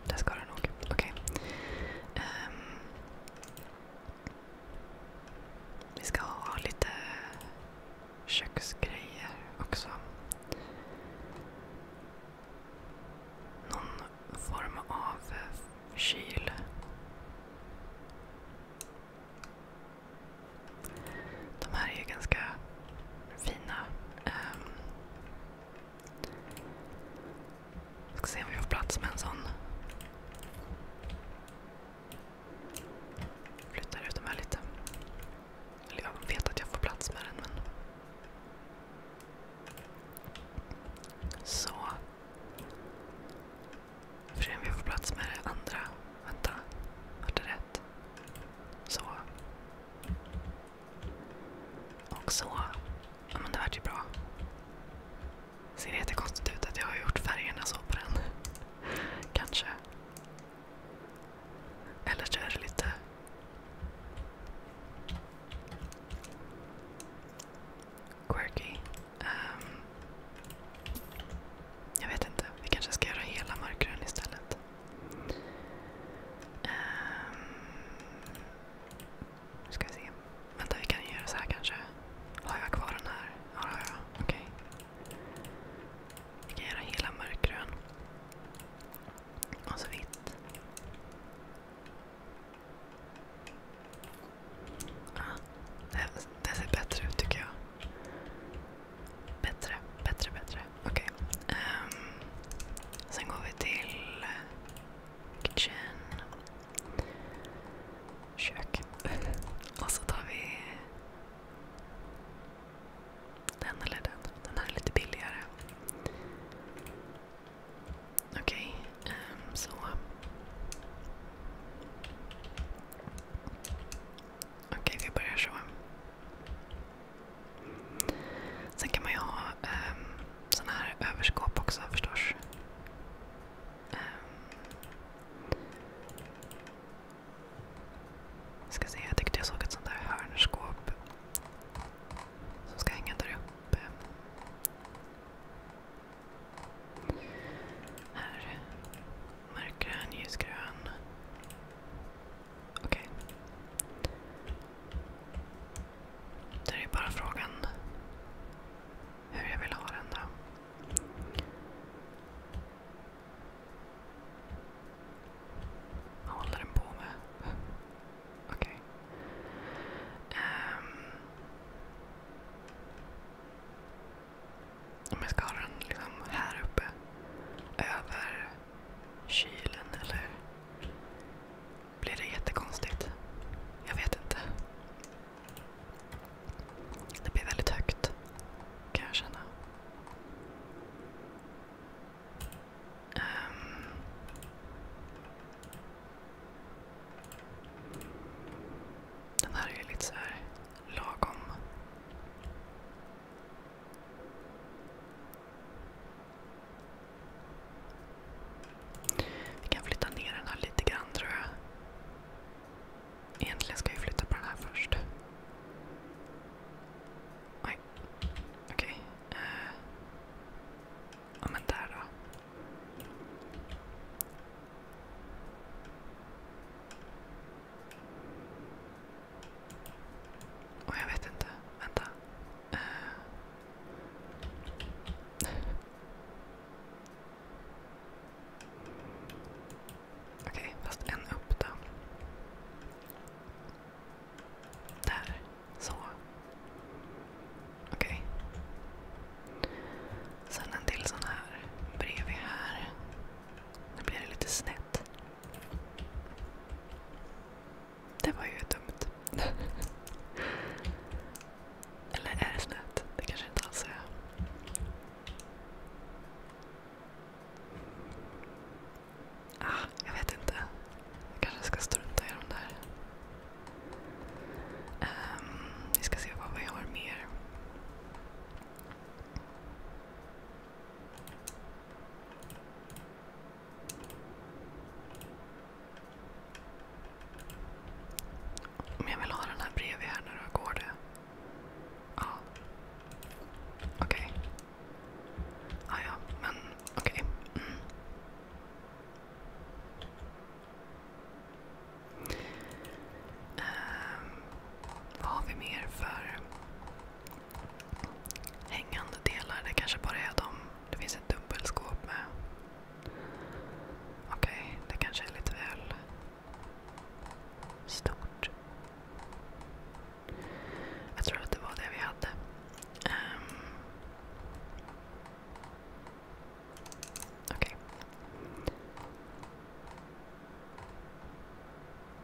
Det ska det nog. Okej. Okay. Um, ehm. Vi ska ha lite köksgrejer också. Någon form av kyl. De här är ju ganska fina. Um, ska se om vi får plats med en sån. Flyttar ut de här lite. Eller jag vet att jag får plats med den men... Så. Får se om vi får plats med det andra. Vänta, vart det rätt? Så. Och så. Ja men det vart ju bra. Ser jättekonstigt ut att jag har gjort färgerna så på den. Kanske. Eller så är det lite... Quirky. Um, jag vet inte. Vi kanske ska göra hela mörkgrön istället. Um, nu ska vi se. Vänta, vi kan göra så här kanske. Har jag kvar den här? Ja, har jag. Okej. Okay. Vi kan göra hela mörkgrön. Och så vitt. Ja, ah, det, det ser bättre ut tycker jag. Bättre, bättre, bättre. Okej. Okay. Um, ehm, sen går vi till eh, kitchen. [laughs] Och så tar vi den eller den. Den här är lite billigare. Okej, ehm, vi börjar så. Sen kan man ju ha um, ehm, såna här överskåp också förstås. Um, ska se, jag tyckte jag såg ett sånt där hörnskåp som ska hänga där uppe. Här. Mörkgrön, ljusgrön. Okej. Okay. Där är bara frågan hur jag vill ha den då. Vad håller den på med? Okej. Okay. Um, ehm. om jag ska ha den liksom här uppe, över kylen eller blir det jättekonstigt? Jag vet inte. Det blir väldigt högt kan jag känna. Um. Den här är ju lite så här lagom. Vi kan flytta ner den här lite grann tror jag. Egentligen ska jag flytta på den här först. Oj! okej. Okay. Uh. Eh, ja men där då. Och jag vet inte. Vänta. Uh. Okej, okay, fast en upp då. Där. Så. Okej. Okay. Sen en till sån här bredvid här. Nu blir det lite snett. Det var ju dumt. [laughs] Eller är det snöt? Det kanske inte alls är. Ah, jag vet inte. Jag kanske ska strunta i de där. Um, vi ska se vad vi har mer. Om jag vill ha den här bredvid här nu då, går det? Ja. Okej. Okay. Ah, ja, men okej. Okay. Mm. Um, vad har vi mer för hängande delar? Det kanske bara är de. Det finns ett dubbelskåp med Okej, okay, det kanske är lite väl stort. Jag tror att det var det vi hade. Um, Okej. Okay.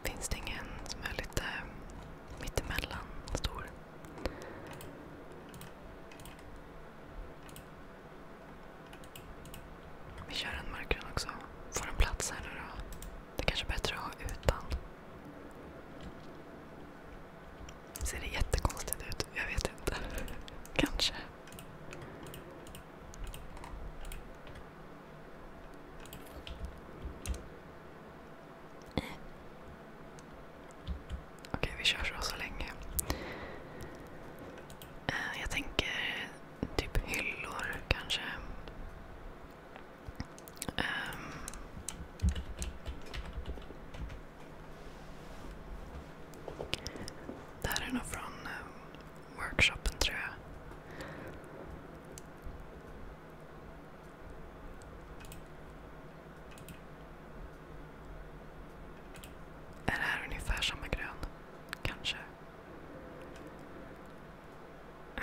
Finns det ingen som är lite mittemellan stor? Vi kör en mörkgrön också. Får den plats här nu då? Det kanske är bättre att ha utan. Ser det jättekonstigt ut? Jag vet inte. [laughs] Kanske. Okej, vi kör så länge. Eh, jag tänker typ hyllor kanske. Um, det här är nog från um, workshopen tror jag. Är det här ungefär samma grön? Kanske. Äh.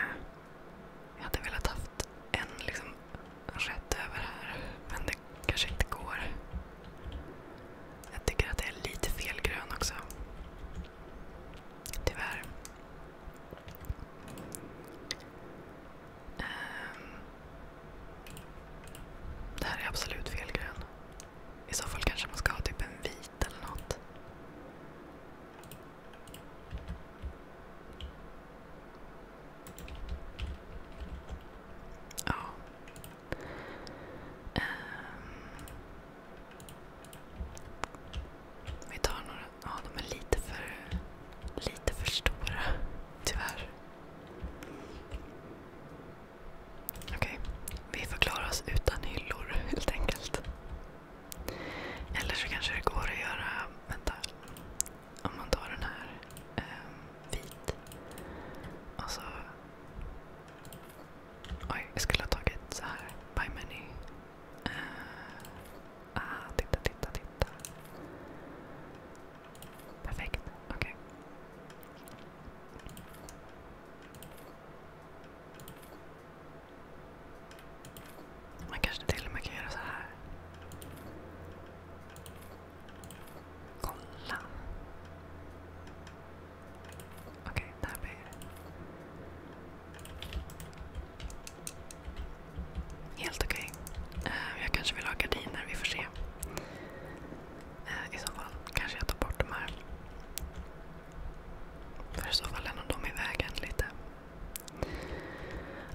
Jag hade velat haft en liksom över här, men det kanske inte går. Jag tycker att det är lite fel grön också. Tyvärr. Ehm. det här är absolut fel grön. I så fall kanske man ska ha typ en vit eller något. Ja. Um. Vi tar några. Ja, de är lite för, lite för stora. Tyvärr. Okej, okay. vi förklarar oss utan hyllor [laughs] helt enkelt. Eller så kanske det går att göra... Vänta. Om man tar den här um, vit och så... Oj, jag skulle ha tagit så här. By many. Uh, eh, ah, titta, titta, titta. Perfekt. Okej. Okay. Man kanske till och med kan göra så här. Kolla. Okej, där blir det. Helt okej. Okay. Eh, jag kanske vill ha gardiner, vi får se. Eh, I så fall kanske jag tar bort de här. För i så fall är nog de i vägen lite.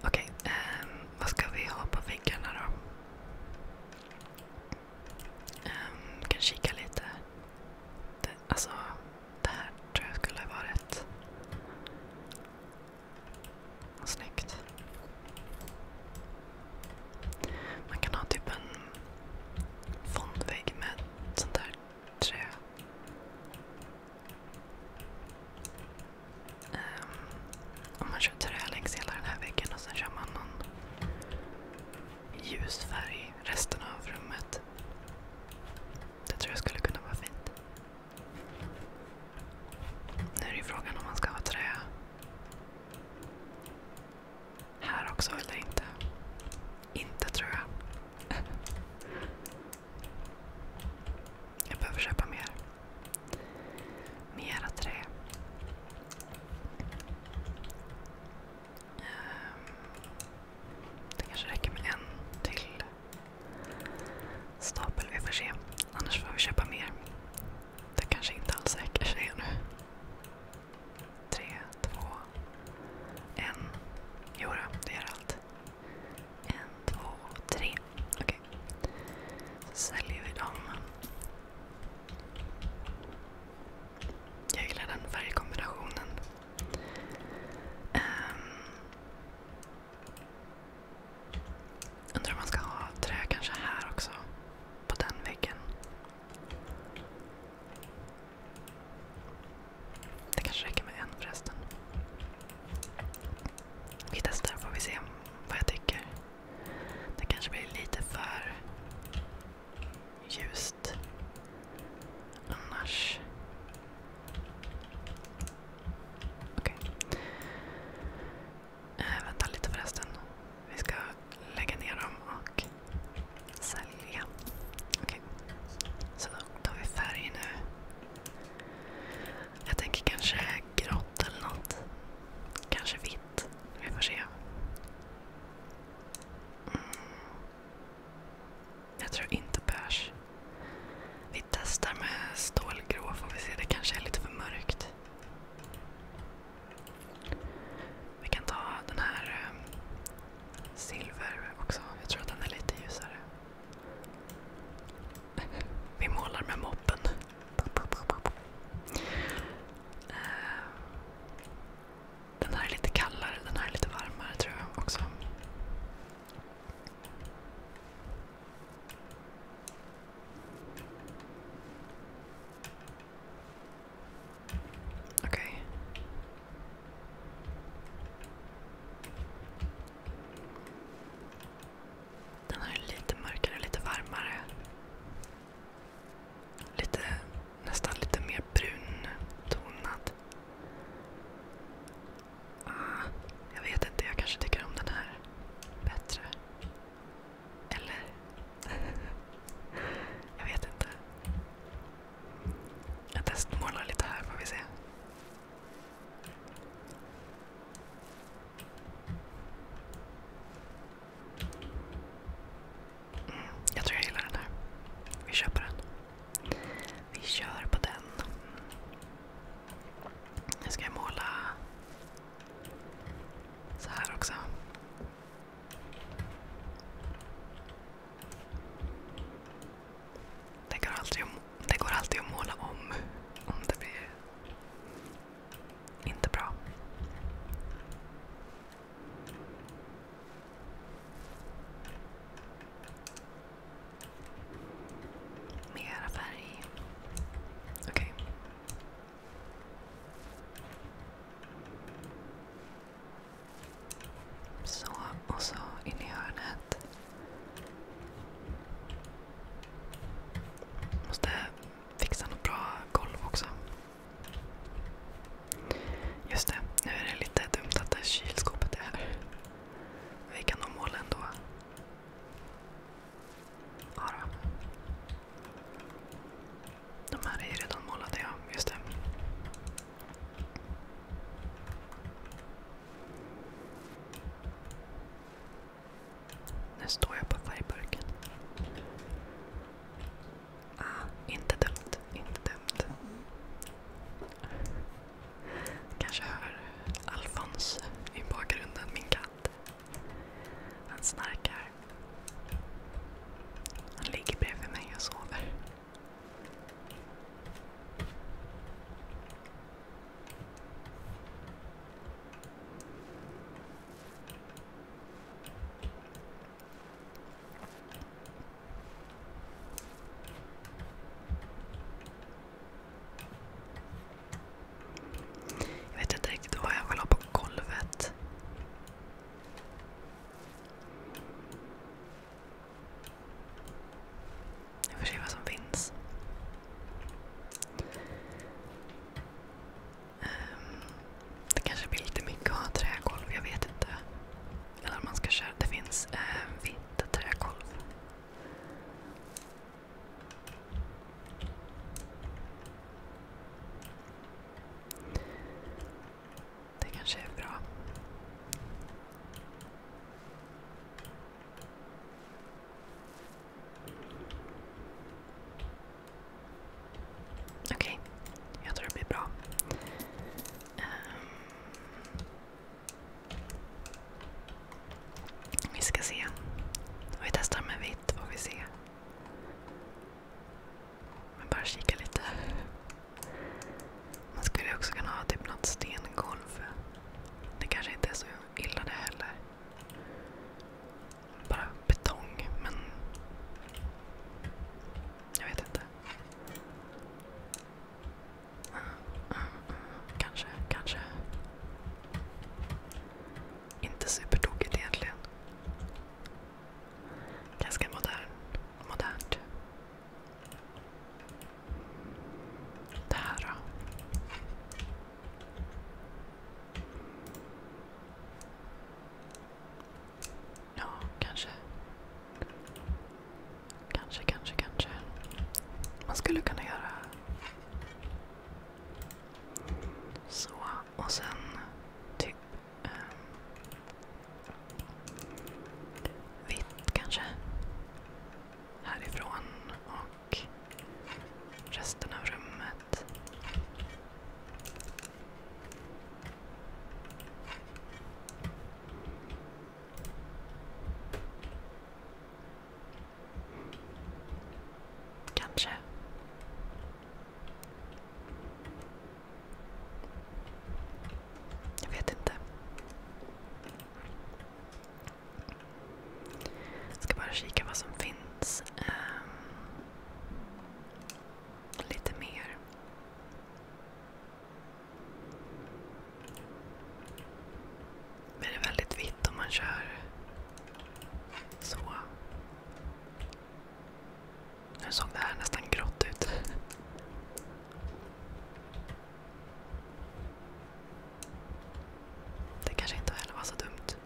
Okej, okay, um, ehm, vad ska vi ha på väggarna då? Um, kan kika lite. Det, alltså, det här tror jag skulle ha varit snyggt. Man kan ha typ en fondvägg med sånt där trä. Ehm, om man kör trä längs hela den här väggen och sen kör man någon ljus färg resten av rummet. Det tror jag skulle kunna vara fint. Nu är det ju frågan om man ska ha trä här också eller inte? Inte tror jag. Jag behöver köpa mer. Mera trä. Ehm, det kanske räcker med en till stapel. Vi får se. Annars får vi köpa mer. Det kanske inte alls räcker, säger jag nu tre, två, en. Jodå, det gör allt. En, två, tre. Okej. Okay. Så säljer vi dem. Jag gillar den färgkombinationen. Um, Undrar om man ska ha trä kanske här också. På den väggen. Det kanske räcker med en förresten. Vi testar får vi se vad jag tycker. Det kanske blir lite för ljust annars. Okej. Okay. Äh, eh, vänta lite förresten. Vi ska lägga ner dem och sälja. Så då tar vi färg nu. Jag tänker kanske grått eller något. Kanske vitt. Vi får se. Mm. Jag tror inte beige. Vi testar med stålgrå får vi se. Det kanske är lite för mörkt. Vi kan ta den här um, silver också. Jag tror att den är lite ljusare. [laughs] Vi målar med moppen. Ehm, den här är lite kallare, den här är lite varmare tror jag också. Okay. Den här är lite mörkare, lite varmare. Lite, nästan lite mer brun tonad. Ah, jag vet inte, jag kanske tycker om den här bättre. Eller? [laughs] Jag vet inte. Jag testmålar lite här får vi se. Mm, jag tror jag gillar den här. Vi köper den. Vi kör på den. Nu ska jag måla så här också. Det går alltid att, det går alltid att måla om om det blir inte bra. Mera färg. Okej. Okay. Så, och så in i hörnet. Måste fixa något bra golv också. Just det, nu är det lite dumt att det kylskåpet är här. Vi kan nog måla ändå. Ja då. De här är ju redan målade, ja. Just det. Nu står jag på färgburken. Ah, inte dumt. Inte dumt. Kanske hör Alfons i bakgrunden, min katt. Han snarkar. Han ligger bredvid mig och sover. Jag vet inte riktigt vad jag vill ha på golvet. Vi får se vad som finns. Um, det kanske blir lite mycket att ha trägolv, jag vet inte. Eller om man ska köra. Det finns uh, vitt trägolv. Det kanske är bra. Okej, jag tror det blir bra. Ehm, vi ska se. Vi testar med vitt, får vi se. Men bara kika lite. Man skulle också kunna ha typ något stengolv. Det kanske inte är så illa det heller. Bara betong, men... Jag vet inte. Mm, mm, mm. Kanske, kanske. Inte supertokigt egentligen. Ganska modernt. Det här då? Ja, kanske. Kanske, kanske, kanske. Man skulle kunna göra så och sen typ Um, vitt kanske. Härifrån och resten av rummet. Kanske. Jag vet inte. Jag ska bara kika vad som finns. Ehm, lite mer. det är väldigt vitt om man kör så. Nu såg det här nästan grått ut. Det kanske inte heller var så dumt.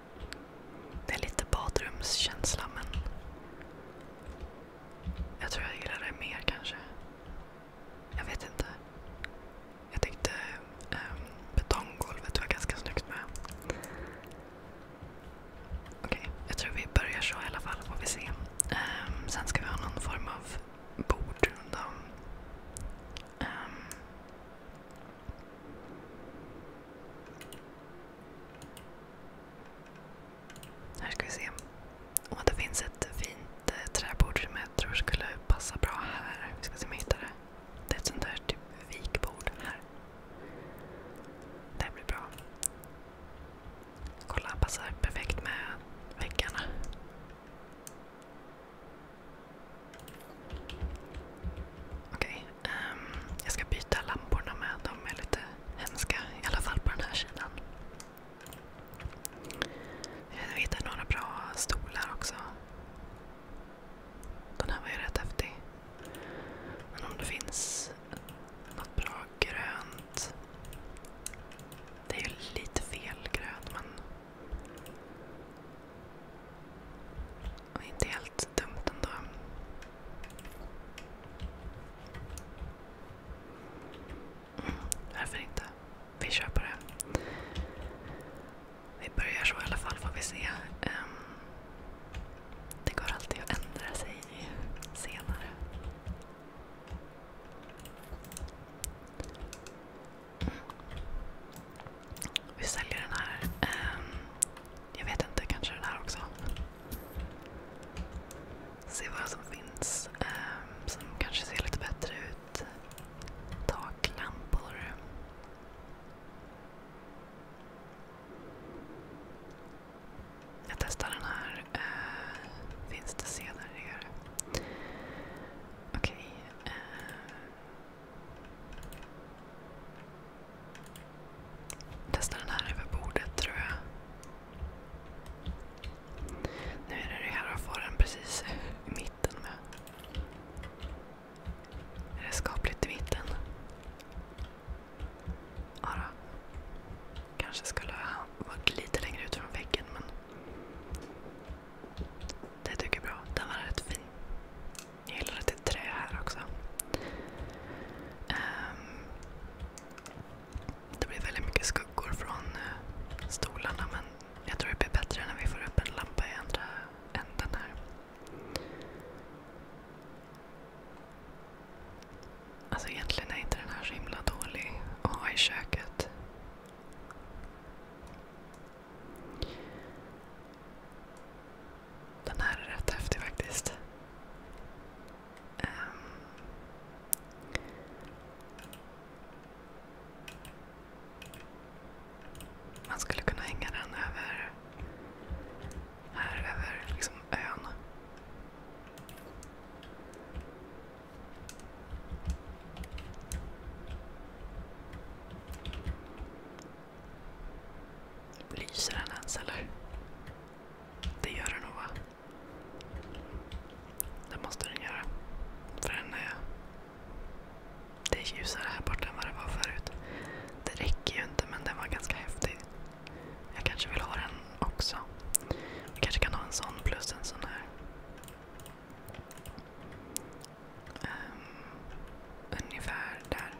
Det är lite badrumskänsla men jag tror jag gillar det mer kanske. Jag vet inte. Jag tyckte um, betonggolvet var ganska snyggt med. Okej, okay, jag tror vi börjar så i alla fall. Får vi se. Um, sen ska vi ha någon form av bordrunda. Um, ehm. här ska vi se. Och det finns ett fint eh, träbord som jag tror skulle passa bra här. Vi ska se om jag hittar det. Det är ett sånt där typ vikbord här. Det här blir bra. Kolla, passar perfekt med väggarna. Okej, okay, um, ehm, jag ska byta lamporna med. De är lite hemska, i alla fall på den här sidan. Jag hittade några bra stolar också. Den här var ju rätt häftig. Men om det finns något bra grönt. Det är ju lite fel grönt men... Och inte helt dumt ändå. Mm, varför inte? Vi kör på det. Vi börjar så i alla fall får vi se. Um, det går alltid att ändra sig senare. Mm. Vi säljer den här. Ehm, jag vet inte, kanske den här också. Se vad som finns ehm, som kanske ser lite bättre ut. Taklampor. Jag testar den här. Eh, finns det senare? Här? Okej. Eh, testar den här över bordet tror jag. Nu är det det här och får den precis i mitten med. Är det skapligt i mitten? Ja, kanske skulle ha varit lite längre ut från väggen men det tycker jag är bra. Den var rätt fin. Jag gillar att det är trä här också. Um, det blir väldigt mycket skuggor från uh, stolarna men jag tror det blir bättre när vi får upp en lampa i andra änden här. Alltså, egentligen är inte den här så himla dålig att ha i köket. Den här är rätt häftig faktiskt. Ehm. man skulle kunna hänga den över här över liksom ön. Lyser den ens eller? Det gör den nog va? Det måste den göra. För den är... Eh, det är ljusare här borta än vad det var förut. Det räcker ju inte men den var ganska häftig. Jag kanske vill ha den också. Jag kanske kan ha en sån plus en sån här. Um, ungefär där.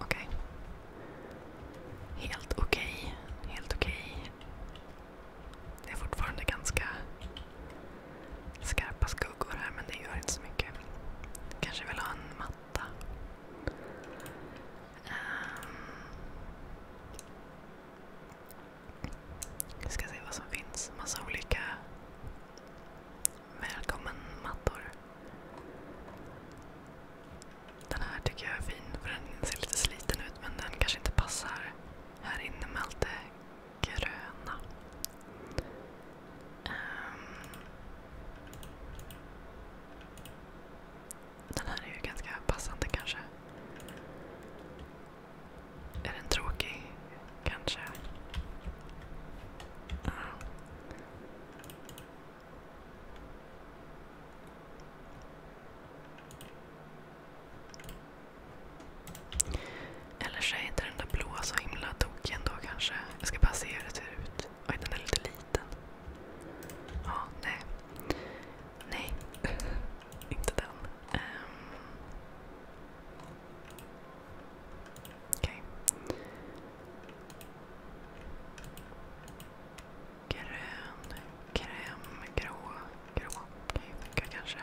Okej. Okay. Helt okej. Okay. Helt okej. Okay. Det är fortfarande ganska skarpa skuggor här men det gör inte så mycket. Kanske vill ha en matta. Vi ehm, ska se vad som finns. Massa olika välkommen-mattor. Den här tycker jag är fin för den ser lite sliten ut men den kanske inte passar här inne med allt det gröna. Ehm, den här är ju ganska passande kanske. Är den tråkig? Kanske. Ehm. Eller så är inte den där blåa så himla tokig ändå kanske. Jag ska bara se hur det ser ut. Oj, den är lite liten. Ja, nej. Nej, [laughs] inte den. Um. Okej. Okay. Grön, kräm, grå, grå. Okej, okay, kanske.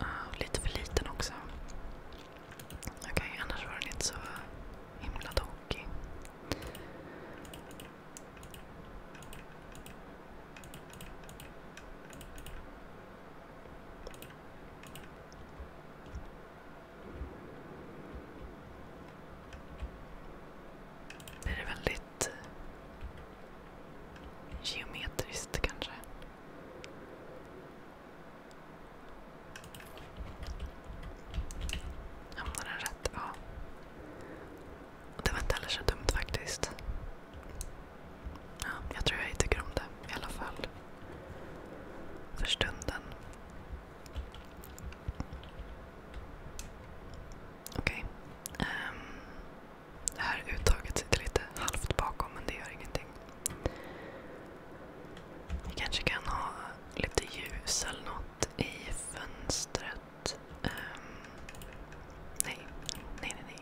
Uh, lite för liten också. Okej, okay, annars var den inte så himla tokig. Det är väldigt eh, geometriskt kanske. Hamnade den rätt? Ja. Det var inte heller så dumt faktiskt. Ja, jag tror jag tycker om det i alla fall. För stunden. Okej. Okay. Um, ehm, det här uttaget sitter lite halvt bakom men det gör ingenting. Vi kanske kan ha lite ljus eller något i fönstret. Um, nej. nej, nej,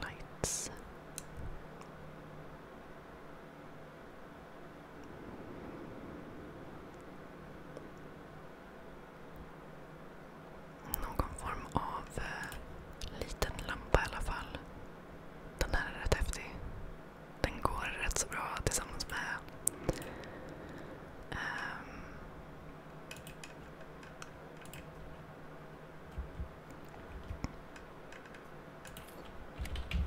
nej. Lights. Någon form av eh, liten lampa i alla fall. Den här är rätt häftig den går rätt så bra tillsammans med um,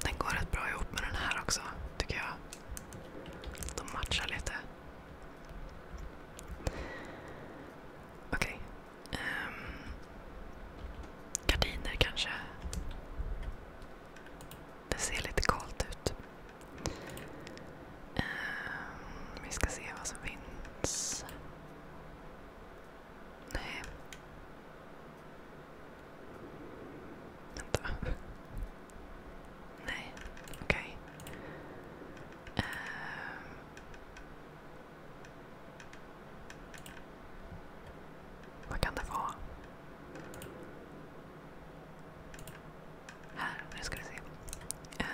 den går rätt bra ihop med den här också, tycker jag. De matchar lite. Okej. Okay. Um, ehm, Gardiner kanske. Det ser lite kallt ut. Ehm, vi ska se vad som finns. Nej. Vänta. Nej, okej. Okay. Ehm. Vad kan det vara? Här, nu ska vi se. Um.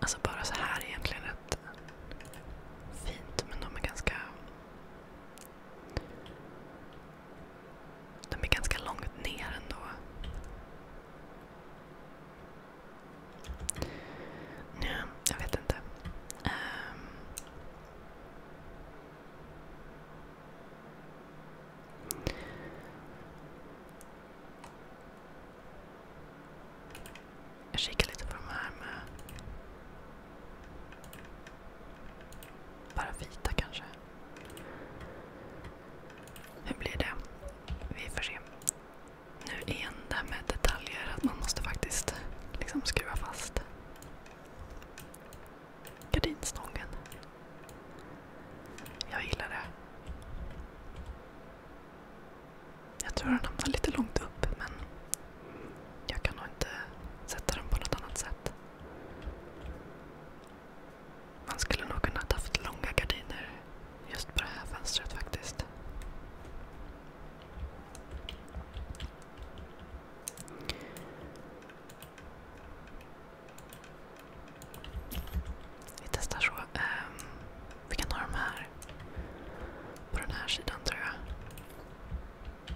Alltså bara så här är egentligen rätt fint men de är ganska de är ganska långt ner ändå. Ja, jag vet inte. Um. Jag kikar lite på de här med bara vita kanske. Hur blir det? Vi får se. Nu igen det här med detaljer, att man måste faktiskt liksom skruva fast gardinstången. Jag gillar det. Jag tror den hamnar lite långt upp men jag kan nog inte sätta den på något annat sätt. Man skulle nog kunna haft långa gardiner Just på det här fönstret faktiskt. Vi testar så. Um, vi kan ha de här på den här sidan tror jag.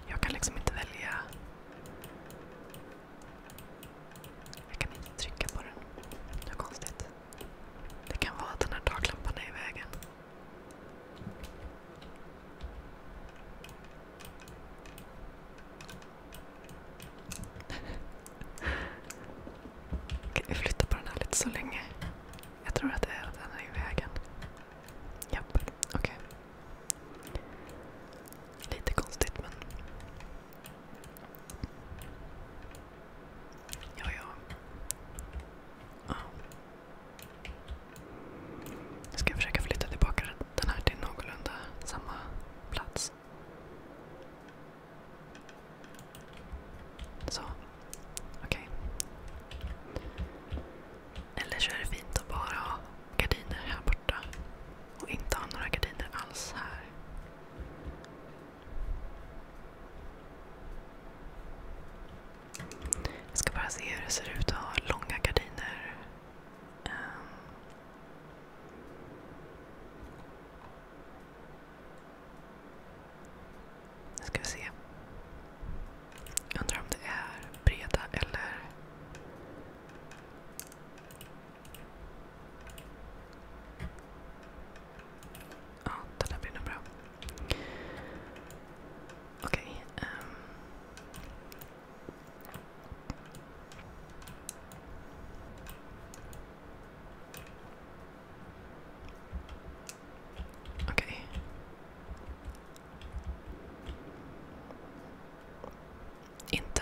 Jag kan liksom inte välja. Jag kan inte trycka på den. Det är konstigt. Det kan vara att den här taklampan är i vägen. [laughs] Okej, vi flyttar på den här lite så länge. Jag tror att det är att den är i vägen. Japp, okej. Lite konstigt men... Ja, ja. ja. Nu ska jag försöka flytta tillbaka den här till någorlunda samma plats. Så. Okej. Okay. Eller så är det fint att bara ha gardiner här borta. Och inte ha några gardiner alls här. Jag ska bara se hur det ser ut att ha långa gardiner. Um. Nu ska vi se. Jag undrar om det är breda eller... Ja, den där blir nog bra. Okej. Okay, um. Ehm. Okej. Okay. Inte,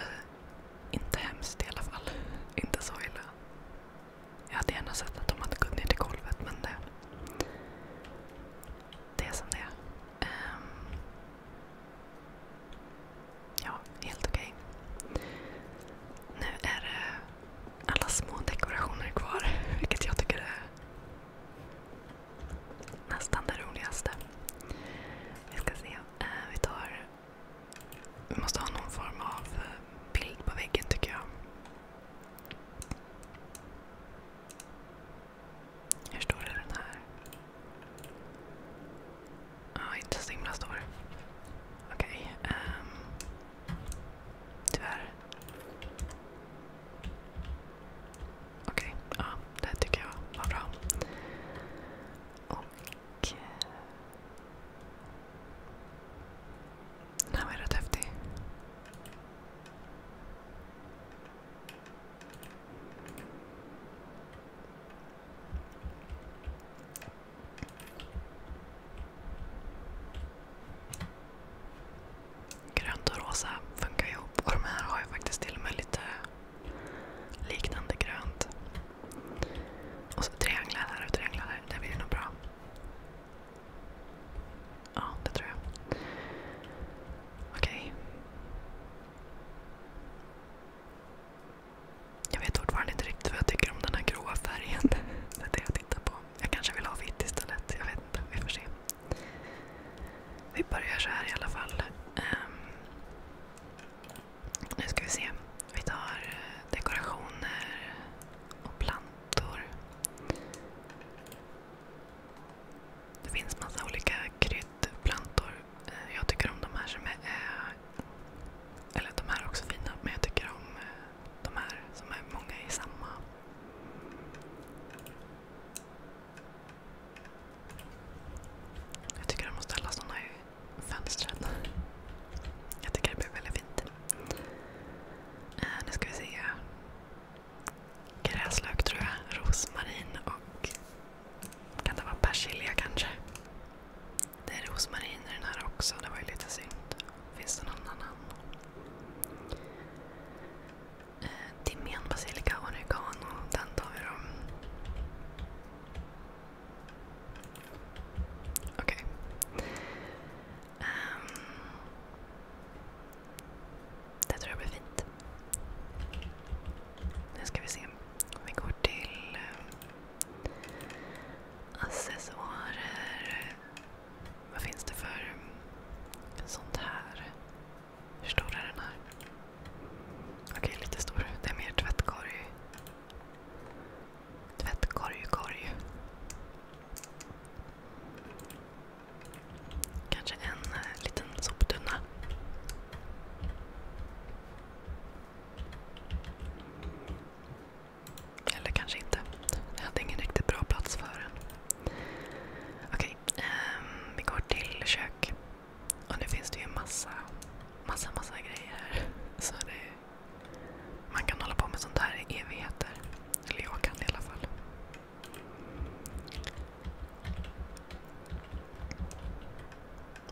inte hemskt i alla fall. Inte så illa. Jag hade gärna sett att de hade gått ner till golvet men det, det är som det är. Um, ja, helt okej. Okay. Nu är det alla små dekorationer kvar, [laughs] vilket jag tycker är nästan det roligaste. Vi ska se. Uh, vi tar vi måste ha någon form av eh, bild på väggen tycker jag. Hur stor är den här? Ja, ah, inte så himla stor. Okej. Okay, um, ehm, tyvärr. Okej, okay, ja. Ah, det tycker jag var bra. Och... Eh, den här var ju rätt häftig. Grönt och rosa funkar ihop och de här har ju faktiskt till och med lite liknande grönt. Och så trianglar här och trianglar här. Det blir nog bra. Ja, det tror jag. Okej. Okay. Jag vet fortfarande inte riktigt vad jag tycker om den här gråa färgen. [laughs] Det är det jag tittar på. Jag kanske vill ha vitt istället. Jag vet inte. Vi får se. Vi börjar så här i alla fall. Um, nu ska vi se. Vi tar eh, dekorationer och plantor. Det finns massa olika kryddplantor. Eh, jag tycker om de här som är... Eh, eller de här är också fina, men jag tycker om eh, de här som är många i samma. Jag tycker de måste ställa sådana i fönstren. Jag tycker det blir väldigt fint fint. Äh, nu ska vi se. Gräslök tror jag, rosmarin och kan det vara persilja kanske? Det är rosmarin i den här också, det var ju lite synd. Finns det någon annan? Timjan, äh, basilika, oregano. Den tar vi då. Okej. Okay. Um, det tror jag blir fint. Nu ska vi se. Vi går till um, accessoarer. Vad finns det för sånt här? Hur stor är den här? Okej, lite stor. Det är mer tvättkorg. Tvättkorg, Kanske en eh, liten soptunna. Eller kanske inte. Jag hade ingen riktigt bra plats för den. Okej, ehm, vi går till kök. nu finns det ju massa, massa, grejer här. Så det man kan hålla på med sånt här i evigheter. Eller jag kan i alla fall.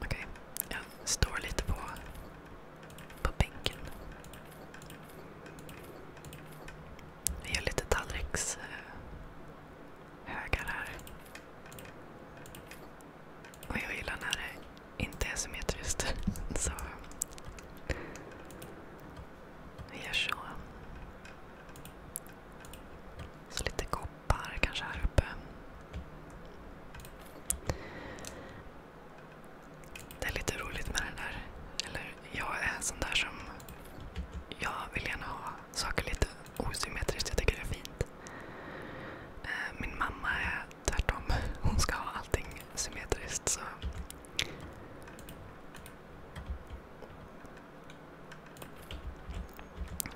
Okej, okay. jag står lite på, på bänken. Vi gör lite tallrikshögar eh, här. Och jag gillar när det inte är symmetriskt. [laughs] Så lite koppar kanske här uppe. Det är lite roligt med det där. jag är en sån där som... vill gärna ha saker lite osymmetriskt. Jag tycker det är fint. Eh, tvärtom. Hon ska ha allting symmetriskt. Så.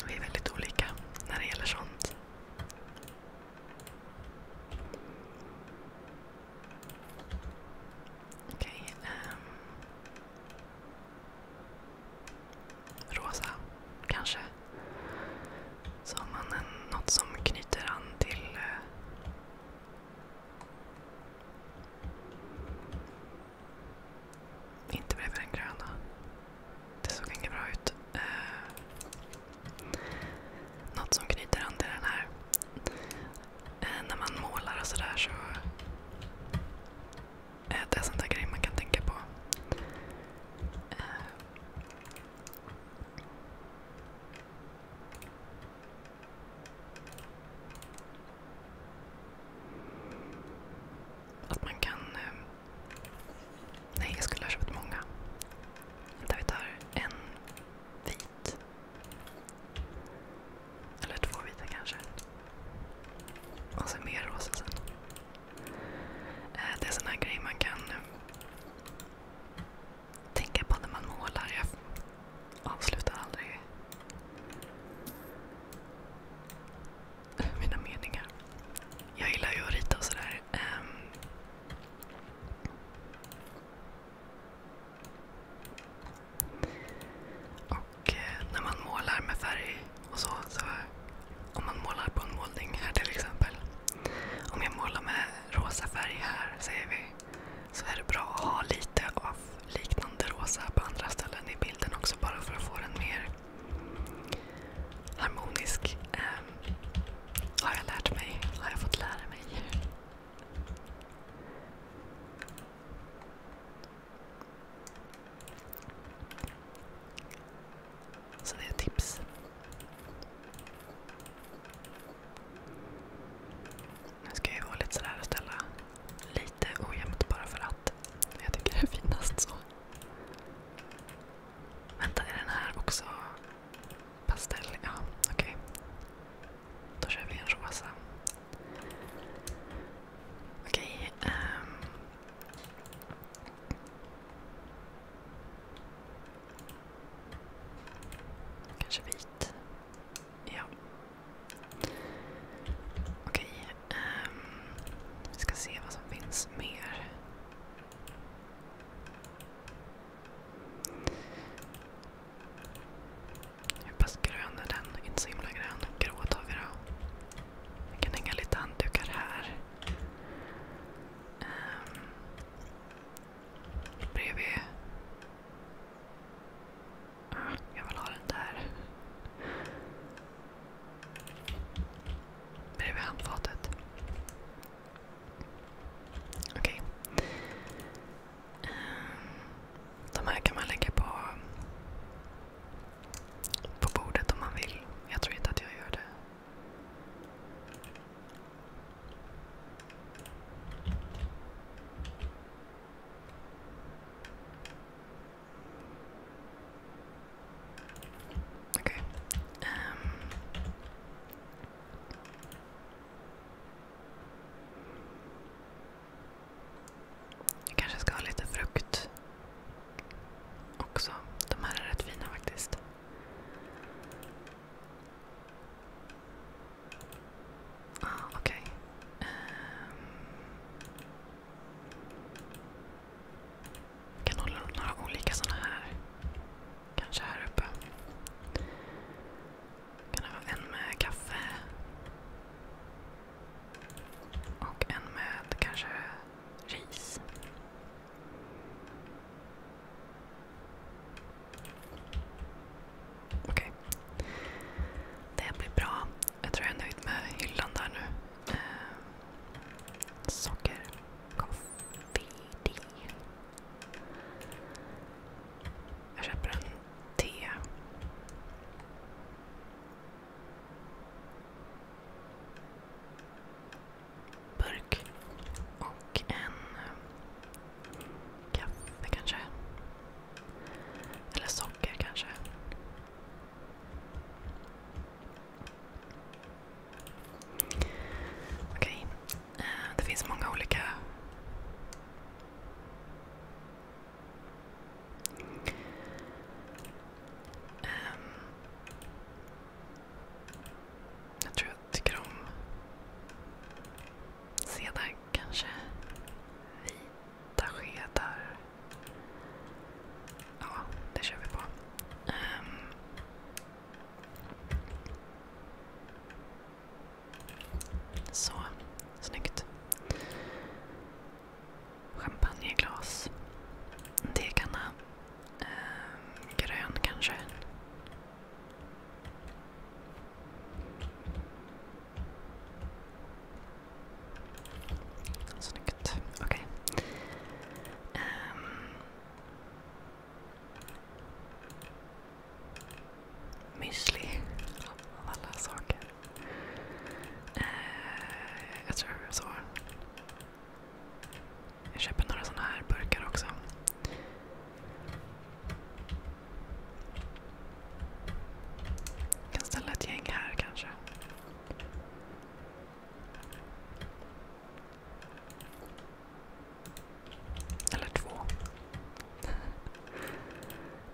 Vi är väldigt olika när det gäller sånt. Okej. um. Rosa, kanske. Så har man en, något som knyter an till eh, inte bredvid den gröna. Det såg inget bra ut. Eh, något som knyter an till den här. Eh, när man målar och sådär så... Eh, det är sånt där grej man kan tänka på. Eh, att man kan... Eh, nej, jag skulle ha köpt många. Vänta, vi tar en vit. Eller två vita kanske. Och sen mer rosa sen. Eh, det är sån här grej man kan eh, tänka på när man målar. Jag avslutar aldrig mina meningar. Jag gillar ju att rita och sådär. Ehm. och eh, när man målar med färg och så om man målar på en målning här till exempel. Om jag målar med rosa färg här, säger vi så är det bra att ha lite av liknande rosa på andra ställen i bilden också. Bara för att få den mer harmonisk. Um, har jag lärt mig. Har jag fått lära mig. Så det är ett tips. Nu ska jag gå lite sådär och ställa lite ojämnt bara för att. Jag tycker det är finast så. Vänta, är den här också pastell? Ja, okej. Okay. Då kör vi en rosa. Okej. Okay, um. Ehm. Kanske vit. Ja. Okej. Okay. Um, ehm, vi ska se vad som finns mer. Hur pass grön är den? Inte så himla grön. Grå tar vi då. Vi kan hänga lite handdukar här. Um, Bredvid. Ah, jag vill ha den där. Bredvid handfatet. Okej. Okay. Ehm, de här kan man lägga på, på bordet om man vill. Jag tror inte att jag gör det. Okay. Um. Ehm. Jag kanske ska ha lite frukt också. De här är rätt fina faktiskt. Ah, okej. Okay. Um, ehm, kan hålla några olika sådana här. Kanske här uppe. Kan det vara en med kaffe? Och en med kanske ris. Okej. Okay. Det blir bra. Jag tror jag är nöjd med hyllan där nu. Eh, socker. Kaffe. Jag köper en te. Burk och en eh, Kaffe kanske? Eller socker kanske? Okej. Okay. Eh, det finns många olika ehm. jag tror jag tycker om sedan kanske vita skedar. Ja, det kör vi på. Ehm. Så, snyggt. Champagneglas. Degarna. Ehm, grön kanske. Snyggt. Okej. Okay. Um. Ehm. Müsli. Av alla saker. Uh, jag tror så. Jag köper några sådana här burkar också. Jag kan ställa ett gäng här kanske. Eller två.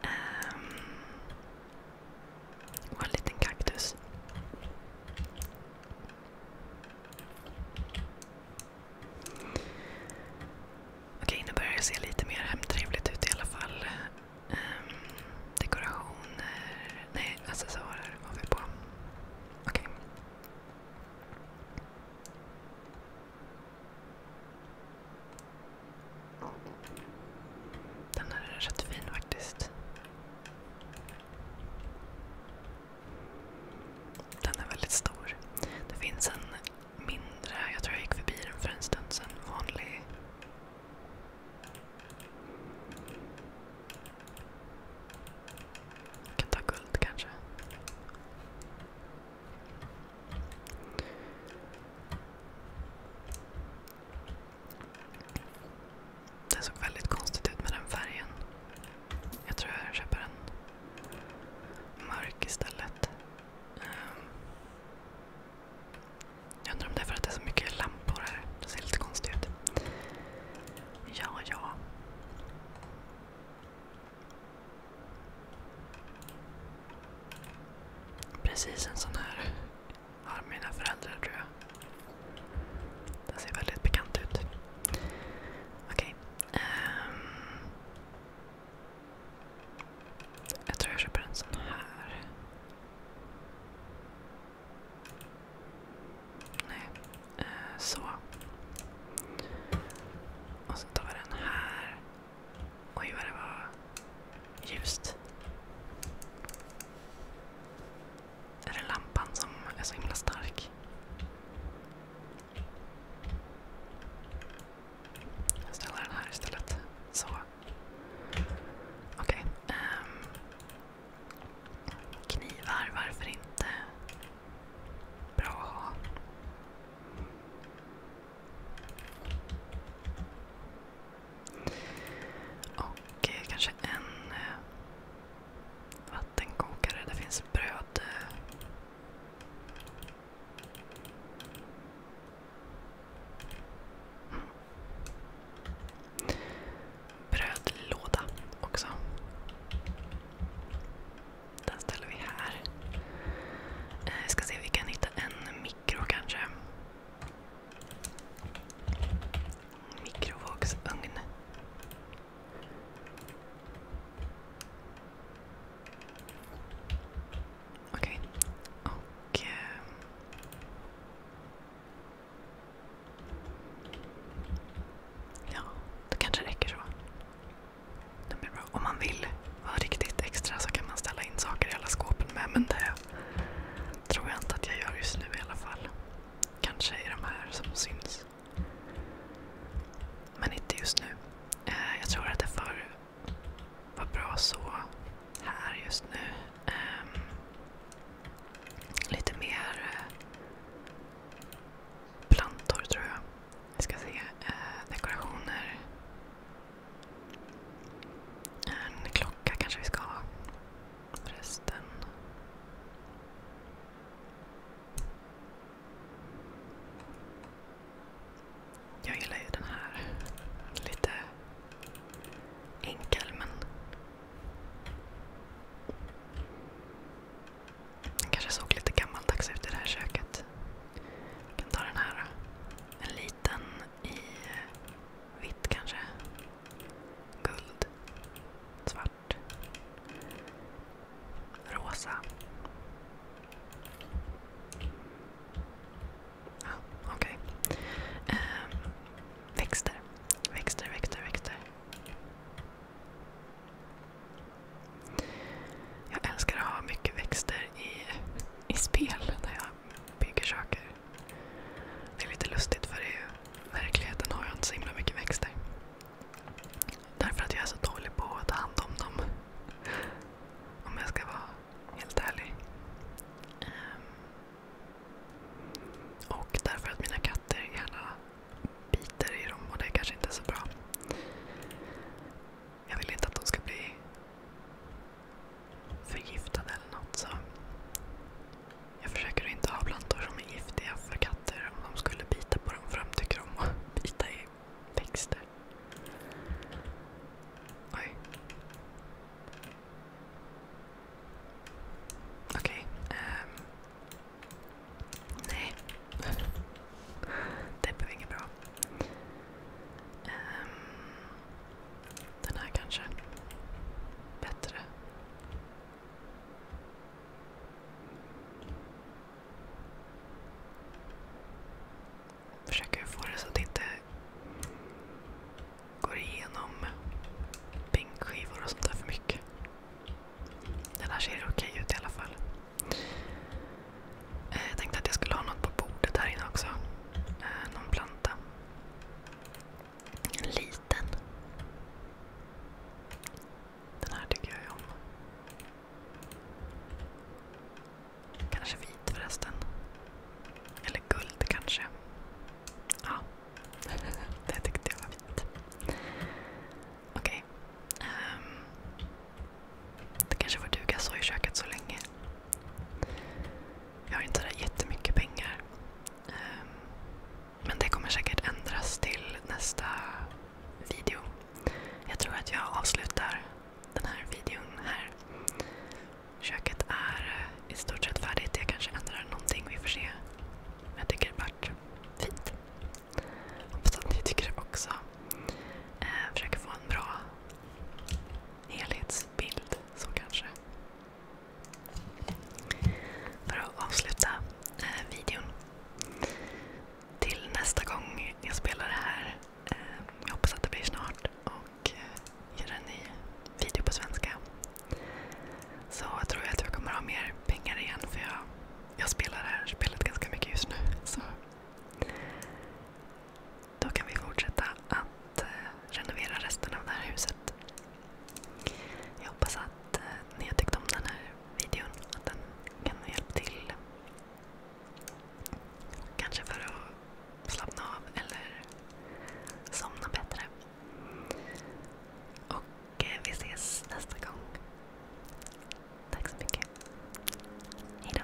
um, [laughs] och en liten kaktus. Okej, nu börjar det se lite mer hemtrevligt ut i alla fall. Ehm, dekorationer... Nej, accessoarer har vi på. Den är rätt fin faktiskt. Den är väldigt stor mindre. Jag tror jag gick förbi den för en stund sedan. Vanlig. kan ta guld kanske. Den såg väldigt konstigt ut med den färgen. Jag tror jag köper en mörk istället. Ehm, jag undrar om det är för att det är så mycket lampor här. Det ser lite konstigt ut. Ja, ja. Precis en sån här har mina föräldrar tror jag. Den ser väldigt bekant ut. Okej. Okay. Um, ehm, jag tror jag köper en sån här. Nej, eh, så. Och så tar vi den här. Oj vad det var ljust. Är det lampan som är så himla stark? Jag ställer den här istället. Så. Okej. Okay. Um, ehm. knivar, varför inte? Bra att ha. Och eh, kanske en eh, vattenkokare. Det finns bröd. Eh, Brödlåda också. Den ställer vi här. Vi eh, ska se om vi kan hitta en mikro kanske. Mikrovågsugn. Okej. Och... Eh, ja, det kanske räcker så. Om man vill vara riktigt extra så kan man ställa in saker i alla skåpen med. Men det tror jag inte att jag gör just nu i alla fall. Kanske i de här som syns. Men inte just nu. Eh, jag tror att det får vara bra så här just nu. Ehm, lite mer eh, plantor tror jag. Vi ska se. Eh, dekorationer. En klocka kanske vi ska ha. Resten. Jag gillar ju den här. Lite enkel men... Den kanske såg lite gammaldags ut i det här köket. Jag kan ta den här då. En liten i vitt kanske. Guld. Svart. Rosa. Ja, okej. Ehm, växter. Växter, växter, växter. Jag älskar att ha mycket växter i spel när jag bygger saker. Det är lite lustigt för i verkligheten har jag inte så himla mycket växter. Därför att jag är så dålig på att ta hand om dem. Om jag ska vara helt ärlig. Ehm, och därför att mina katter gärna biter i dem och det kanske inte är så bra. Jag vill inte att de ska bli förgiftade eller något jag försöker inte ha plantor som är giftiga för katter om de skulle bita på dem för de tycker om att bita i växter. Oj. Okej. Okay. Um. Ehm. Nej. Det blev inget bra. Um. Den här kanske. Bättre. Försöker få det så att det inte går igenom bänkskivor och sånt där för mycket. Den här ser okej ut i alla fall. Eh, jag tänkte att jag skulle ha något på bordet här inne också. Eh, någon planta. En liten. Den här tycker jag om. Kanske vit förresten. Eller guld kanske. Ja, [laughs] det tyckte jag var fint. Ehm. det kanske får duga så i köket så länge. Jag har inte sådär jättemycket pengar. Ehm. men det kommer säkert ändras till nästa video. Jag tror att jag avslutar den här videon här. Köket är eh, i stort sett färdigt. Jag kanske ändrar någonting, vi får se. Jag tycker det vart fint. Hoppas att ni tycker det också. Eh, försöker få en bra helhetsbild, så kanske. För att avsluta eh, videon. Till nästa gång jag spelar det här jag hoppas att det blir snart och eh, göra en ny video på svenska. Så jag tror att jag kommer ha mer pengar igen för jag, jag spelar det här spelet ganska mycket just nu. Så. Då kan vi fortsätta att eh, renovera resten av det här huset. Jag hoppas att eh, ni har tyckt om den här videon. Att den kan hjälpa till Kanske för att slappna av eller somna bättre. Och eh, vi ses nästa gång. Tack så mycket. Hejdå.